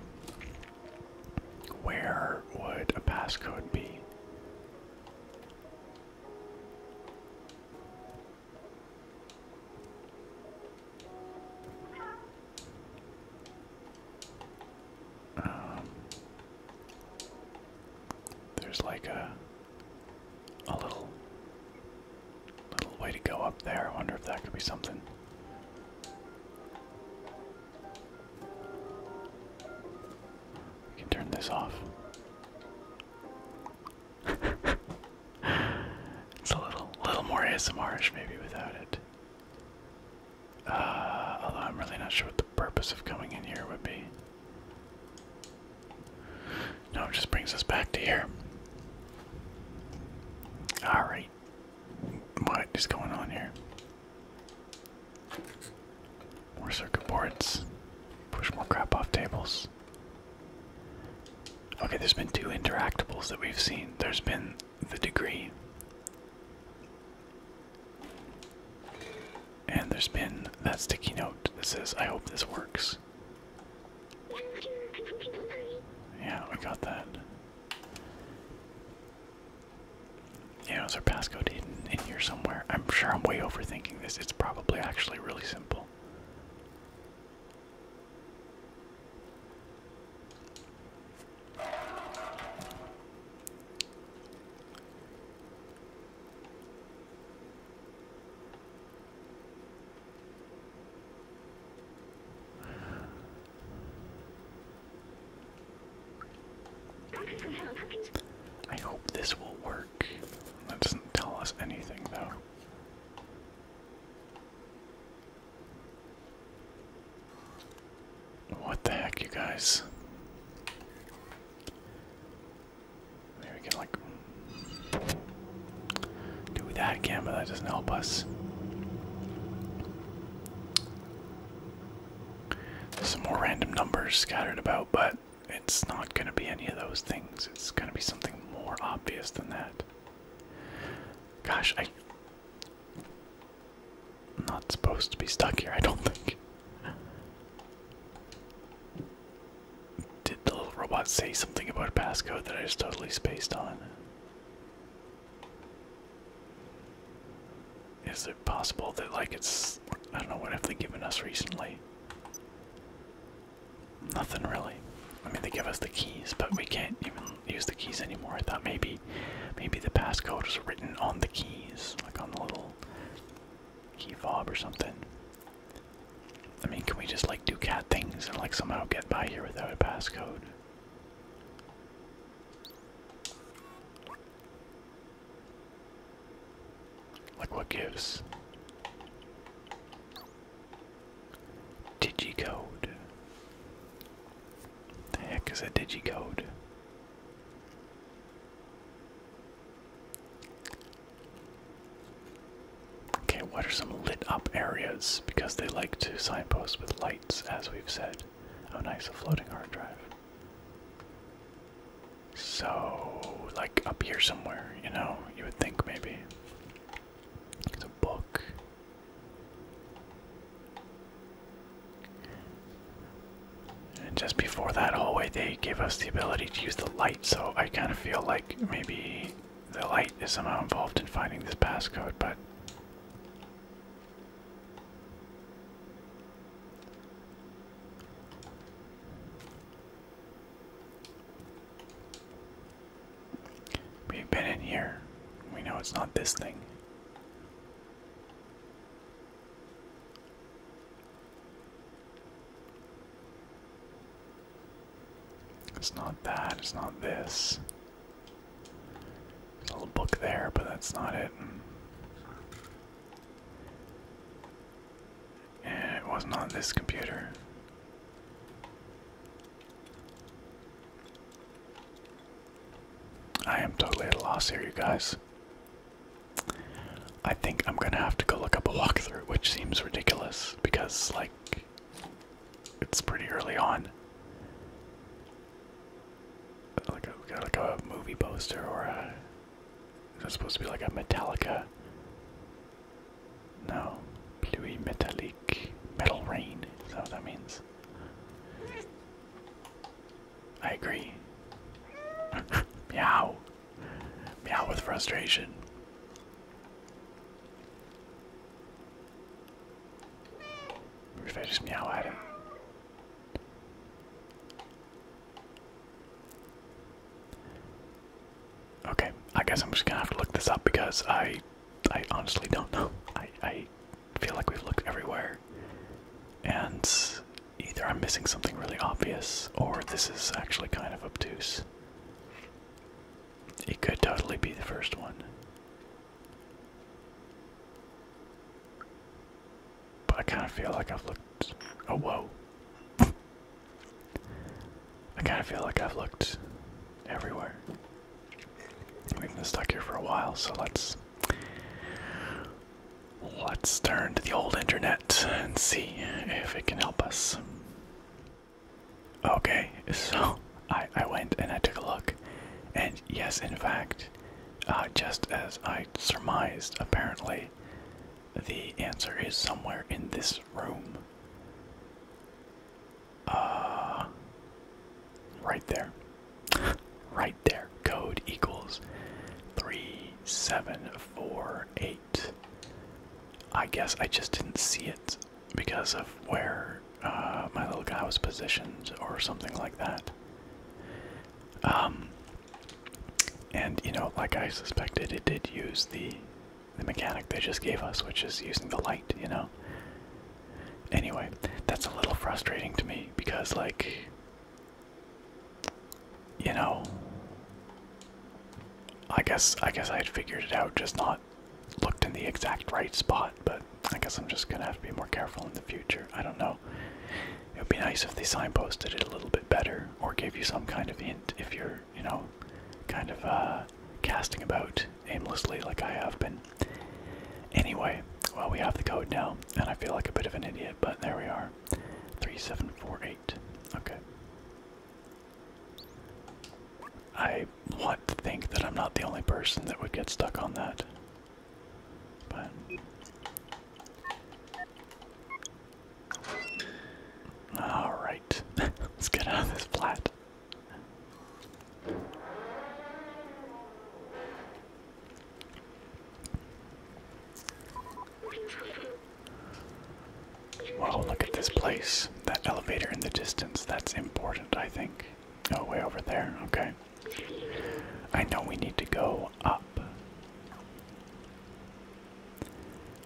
Where would a passcode be? Um, there's like a a little little way to go up there. I wonder if that could be something. We can turn this off. (laughs) it's a little little more ASMRish maybe without it. Uh, although I'm really not sure what the purpose of coming in here would be. No, it just brings us back to here. Alright. What is going on here? More circuit boards. Push more crap off tables. Okay, there's been two interactables that we've seen. There's been the degree. And there's been that sticky note that says, I hope this works. Yeah, we got that. Yeah, is our passcode in here somewhere? I'm sure I'm way overthinking this. It's probably actually really simple. I hope this will work. That doesn't tell us anything, though. What the heck, you guys? Maybe we can like do that again, but that doesn't help us. Some more random numbers scattered about, but it's not going to be any of those things. It's going to be something more obvious than that. Gosh, I. I'm not supposed to be stuck here, I don't think. Did the little robot say something about a passcode that I just totally spaced on? Is it possible that, like, it's. I don't know, what have they given us recently? Nothing really. I mean, they give us the keys, but we can't even use the keys anymore. I thought maybe, maybe the passcode was written on the keys, like on the little key fob or something. I mean, can we just like do cat things and like somehow get by here without a passcode? Like, what gives? Digicode. The heck is a digicode? Okay, what are some lit up areas? Because they like to signpost with lights, as we've said. Oh, nice, a floating hard drive. So, like up here somewhere, you know, you would think maybe. It's a book. And just before that hallway, they gave us the ability to use the light, so I kind of feel like maybe the light is somehow involved in finding this passcode, but. We've been in here. We know it's not this thing. It's not that, it's not this. There's a little book there, but that's not it. it wasn't on this computer. I am totally at a loss here, you guys. I think I'm gonna have to go look up a walkthrough, which seems ridiculous because, like, it's pretty early on. Like got like a movie poster or a. Is that supposed to be like a Metallica? No. Pluie Metallique. Metal Rain. Is that what that means? I agree. (laughs) Meow. Meow with frustration. if I just meow at him. Okay, I guess I'm just gonna have to look this up because I I honestly don't know. I I feel like we've looked everywhere. And Either I'm missing something really obvious, or this is actually kind of obtuse. It could totally be the first one. But I kind of feel like I've looked. Oh, whoa. I kind of feel like I've looked everywhere. We've been stuck here for a while, so let's Let's turn to the old internet and see if it can help us. Okay, so I, I went and I took a look, and yes, in fact, uh, just as I surmised, apparently, the answer is somewhere in this room. Uh, right there. (laughs) right there code equals 3748. I guess I just didn't see it because of where uh, my little guy was positioned or something like that. Um, and you know, like I suspected, it did use the the mechanic they just gave us, which is using the light. You know. Anyway, that's a little frustrating to me because like you know, I guess I guess I had figured it out, just not looked in the exact right spot. But I guess I'm just gonna have to be more careful in the future. I don't know. It would be nice if they signposted it a little bit better, or gave you some kind of hint if you're, you know, kind of uh, casting about aimlessly like I have been. Anyway, well, we have the code now, and I feel like a bit of an idiot, but there we are. Three seven four eight. Okay. I want to think that I'm not the only person that would get stuck on that. But. Alright. (laughs) Let's get out of this flat. Wow, look at this place. That elevator in the distance, that's important, I think. Oh, way over there, okay. I know we need to go up.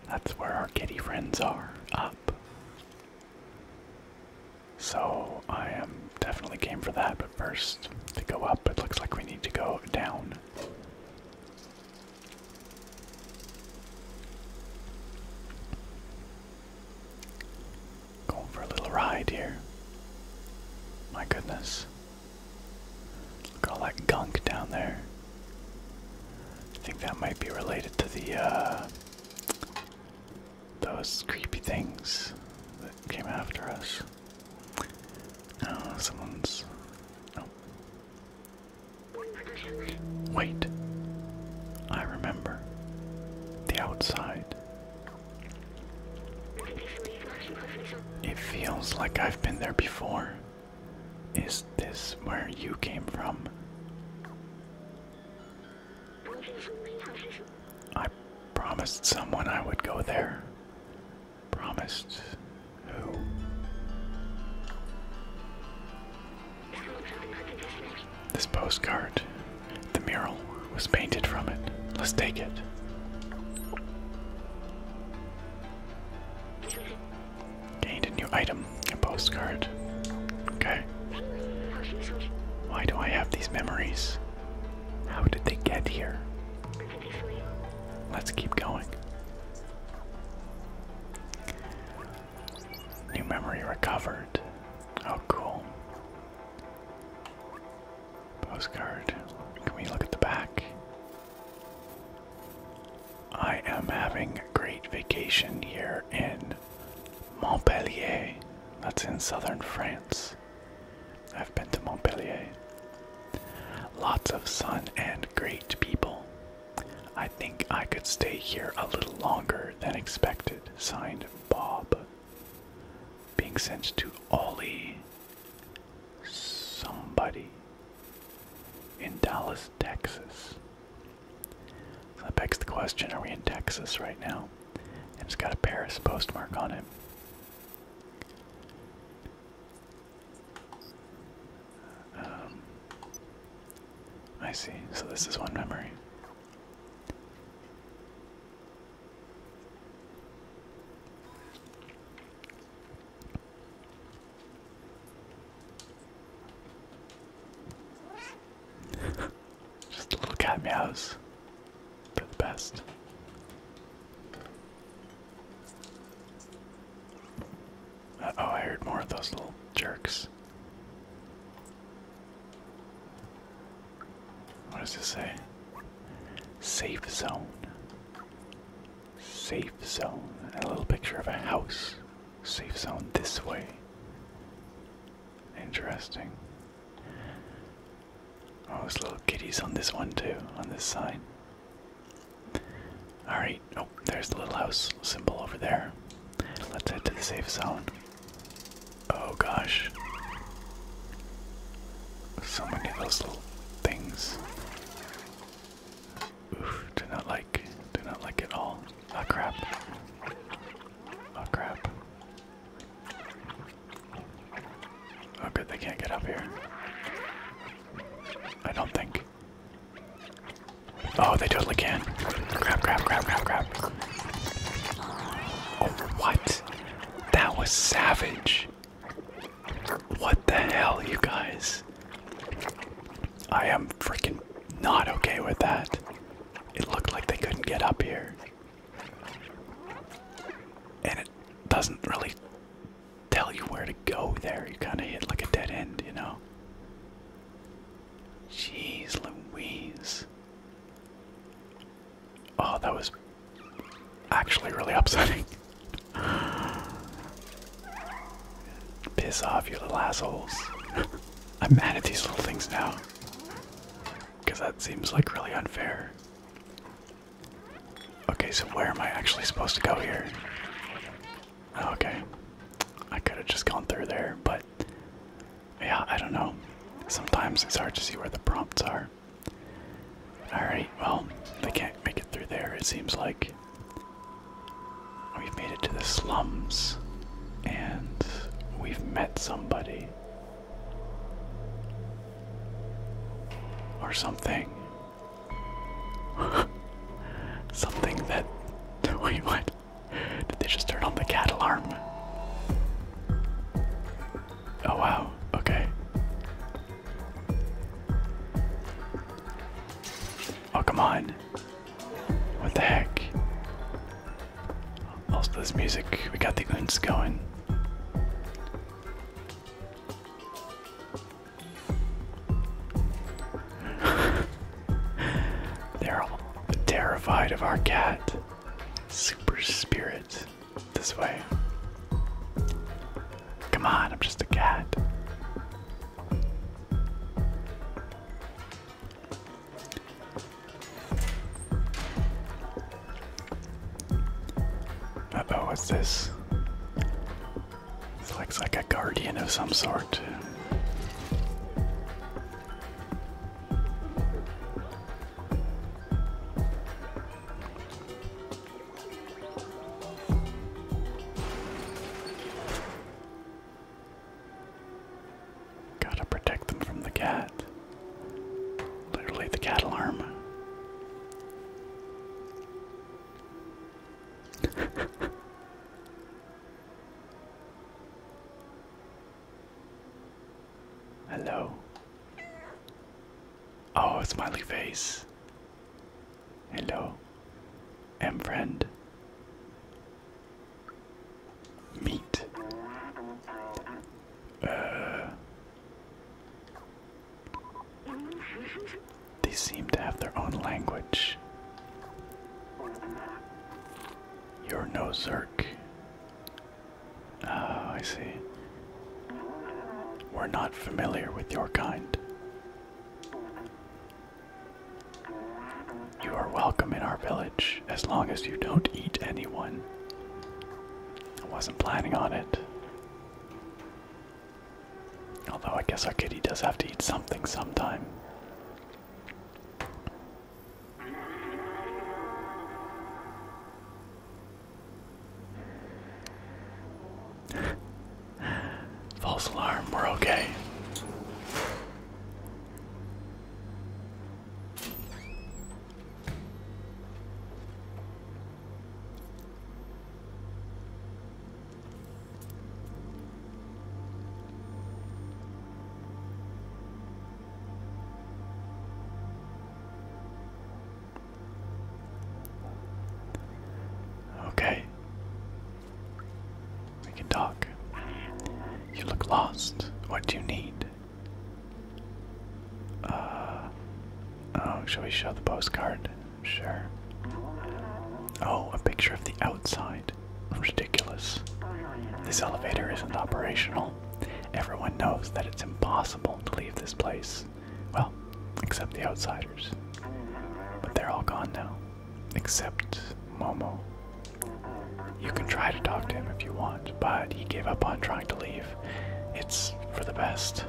That's where our kitty friends are, up. So I am definitely game for that, but first to go up, it looks like we need to go down. Going for a little ride here. My goodness. Look at all that gunk down there. I think that might be related to the, uh, those creepy things that came after us. Oh, someone's. Oh. Wait. I remember. The outside. It feels like I've been there before. Is this where you came from? I promised someone I would go there. Promised who? This postcard. The mural was painted from it. Let's take it. Gained a new item, a postcard. Okay. Why do I have these memories? How did they get here? Let's keep going. New memory recovered. Oh, cool. Postcard. Can we look at the back? I am having a great vacation here in Montpellier. That's in southern France. I've been to Montpellier. Lots of sun and great people. I think I could stay here a little longer than expected. Signed Bob. Being sent to Ollie. Somebody. In Dallas, Texas. that begs the question are we in Texas right now? And it's got a Paris postmark on it. Um, I see. So this is one memory. (laughs) Just little cat meows. the best oh, I heard more of those little jerks. What does this say? Safe zone. Safe zone. a little picture of a house. Safe zone this way. Interesting. Oh, there's little kitties on this one too, on this sign. Alright, oh, there's the little house symbol over there. Let's head to the safe zone. Oh gosh. So many of those little things. Oof, do not like, do not like it all. Oh crap. Oh crap. Oh good, they can't get up here. I don't think. Oh, they totally can. Crap, crap, crap, crap, crap. Oh, what? That was savage. What the hell, you guys? I am freaking not okay with that. It looked like they couldn't get up here. And it doesn't really tell you where to go there. You kind of hit like a dead end, you know? Jeez Louise. Oh, that was actually really upsetting. (laughs) Piss off, you little assholes. (laughs) I'm mad at these little things now. Because that seems like really unfair. Okay, so where am I actually supposed to go here? Oh, okay. I could have just gone through there, but yeah, I don't know. Sometimes it's hard to see where the prompts are. Alright, well, they can't make it through there, it seems like. We've made it to the slums, and we've met somebody. Or something. (laughs) Something that. Wait, what? Did they just turn on the cat alarm? Oh, wow. Okay. Oh, come on. What the heck? Also, this music, we got the guns going. (laughs) They're all terrified of our cat. Super spirit. This way. Come on, I'm just a cat. Uh oh, what's this? looks like a guardian of some sort. Gotta protect them from the cat. Literally, the cat alarm. (laughs) Hello. Oh, smiley face. Hello. And friend. Meet. Uh they seem to have their own language. You're no Zerk. Oh, I see. We're not familiar with your kind. You are welcome in our village as long as you don't eat anyone. I wasn't planning on it. Although I guess our kitty does have to eat something sometime. (laughs) False alarm, we're okay. Okay. We can talk. You look lost. What do you need? Uh. Oh, shall we show the postcard? Sure. Oh, a picture of the outside. Ridiculous. This elevator isn't operational. Everyone knows that it's impossible to leave this place. Well, except the outsiders. But they're all gone now. Except Momo. You can try to talk to him if you want, but he gave up on trying to leave. It's for the best.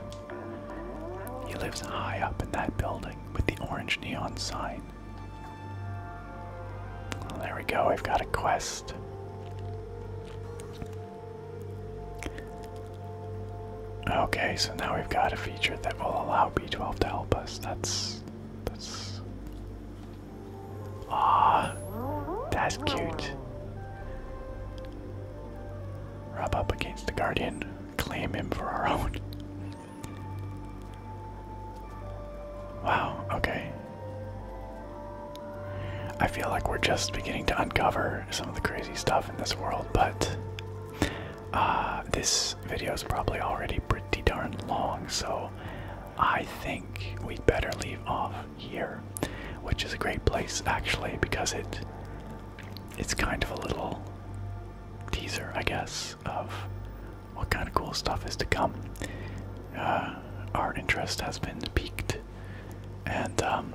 He lives high up in that building with the orange neon sign. there we go, we've got a quest. Okay, so now we've got a feature that will allow B12 to help us. That's. that's. Aw, that's cute. Rub up against the Guardian claim him for our own. Wow, okay. I feel like we're just beginning to uncover some of the crazy stuff in this world, but uh, this video is probably already pretty darn long, so I think we'd better leave off here, which is a great place actually because it it's kind of a little teaser, I guess, of what kind of cool stuff is to come. Uh, our interest has been piqued, and um,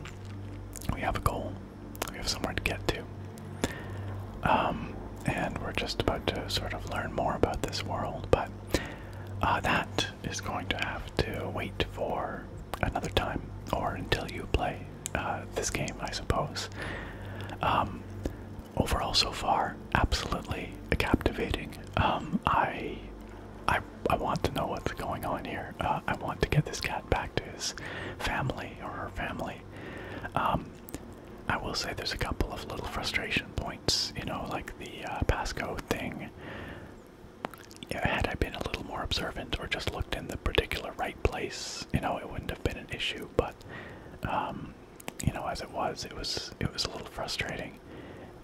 we have a goal. We have somewhere to get to. Um, and we're just about to sort of learn more about this world, but uh, that is going to have to wait for another time or until you play uh, this game, I suppose. Um, overall, so far, absolutely captivating. Um, I, I, I want to know what's going on here. Uh, I want to get this cat back to his family or her family. Um, I will say there's a couple of little frustration points, you know, like the uh, Pasco thing. had I been a little more observant or just looked in the particular right place, you know, it wouldn't have been an issue, but um, you know, as it was, it was it was a little frustrating.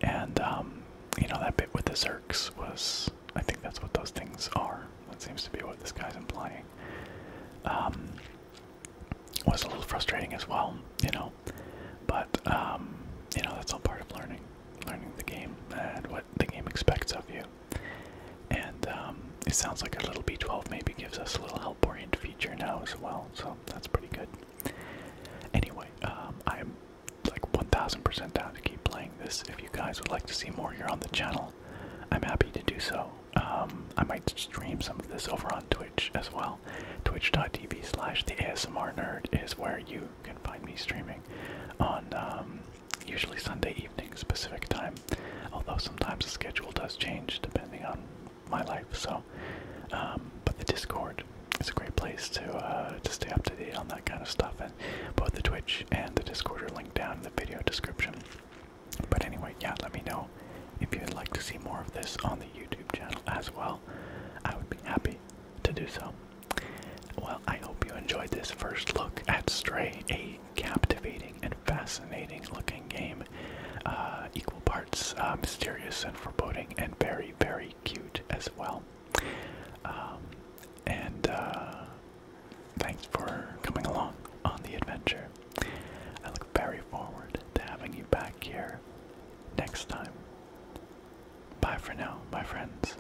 And um, you know, that bit with the Zerks was I think that's what those things are. That seems to be what this guy's implying. Um, was a little frustrating as well, you know. But um, you know, that's all part of learning, learning the game and what the game expects of you. And um, it sounds like a little B12 maybe gives us a little help orient feature now as well, so that's pretty good. Anyway, I'm um, like 1000% down to keep playing this. If you guys would like to see more here on the channel, I'm happy to do so. Um, I might stream some of this over on Twitch as well. Twitch.tv slash the ASMR nerd is where you can find me streaming on usually Sunday evenings specific time, although sometimes the schedule does change depending on my life. So, um, but the Discord is a great place to uh, to stay up to date on that kind of stuff, and both the Twitch and the Discord are linked down in the video description. But anyway, yeah, let me know if you'd like to see more of this on the YouTube channel as well. I would be happy to do so. Well, I hope you enjoyed this first look at Stray, Eight captivating and fascinating looking game. Uh, equal parts uh, mysterious and foreboding, and very, very cute as well. Um, and uh, thanks for coming along on the adventure. I look very forward to having you back here next time. Bye for now, my friends.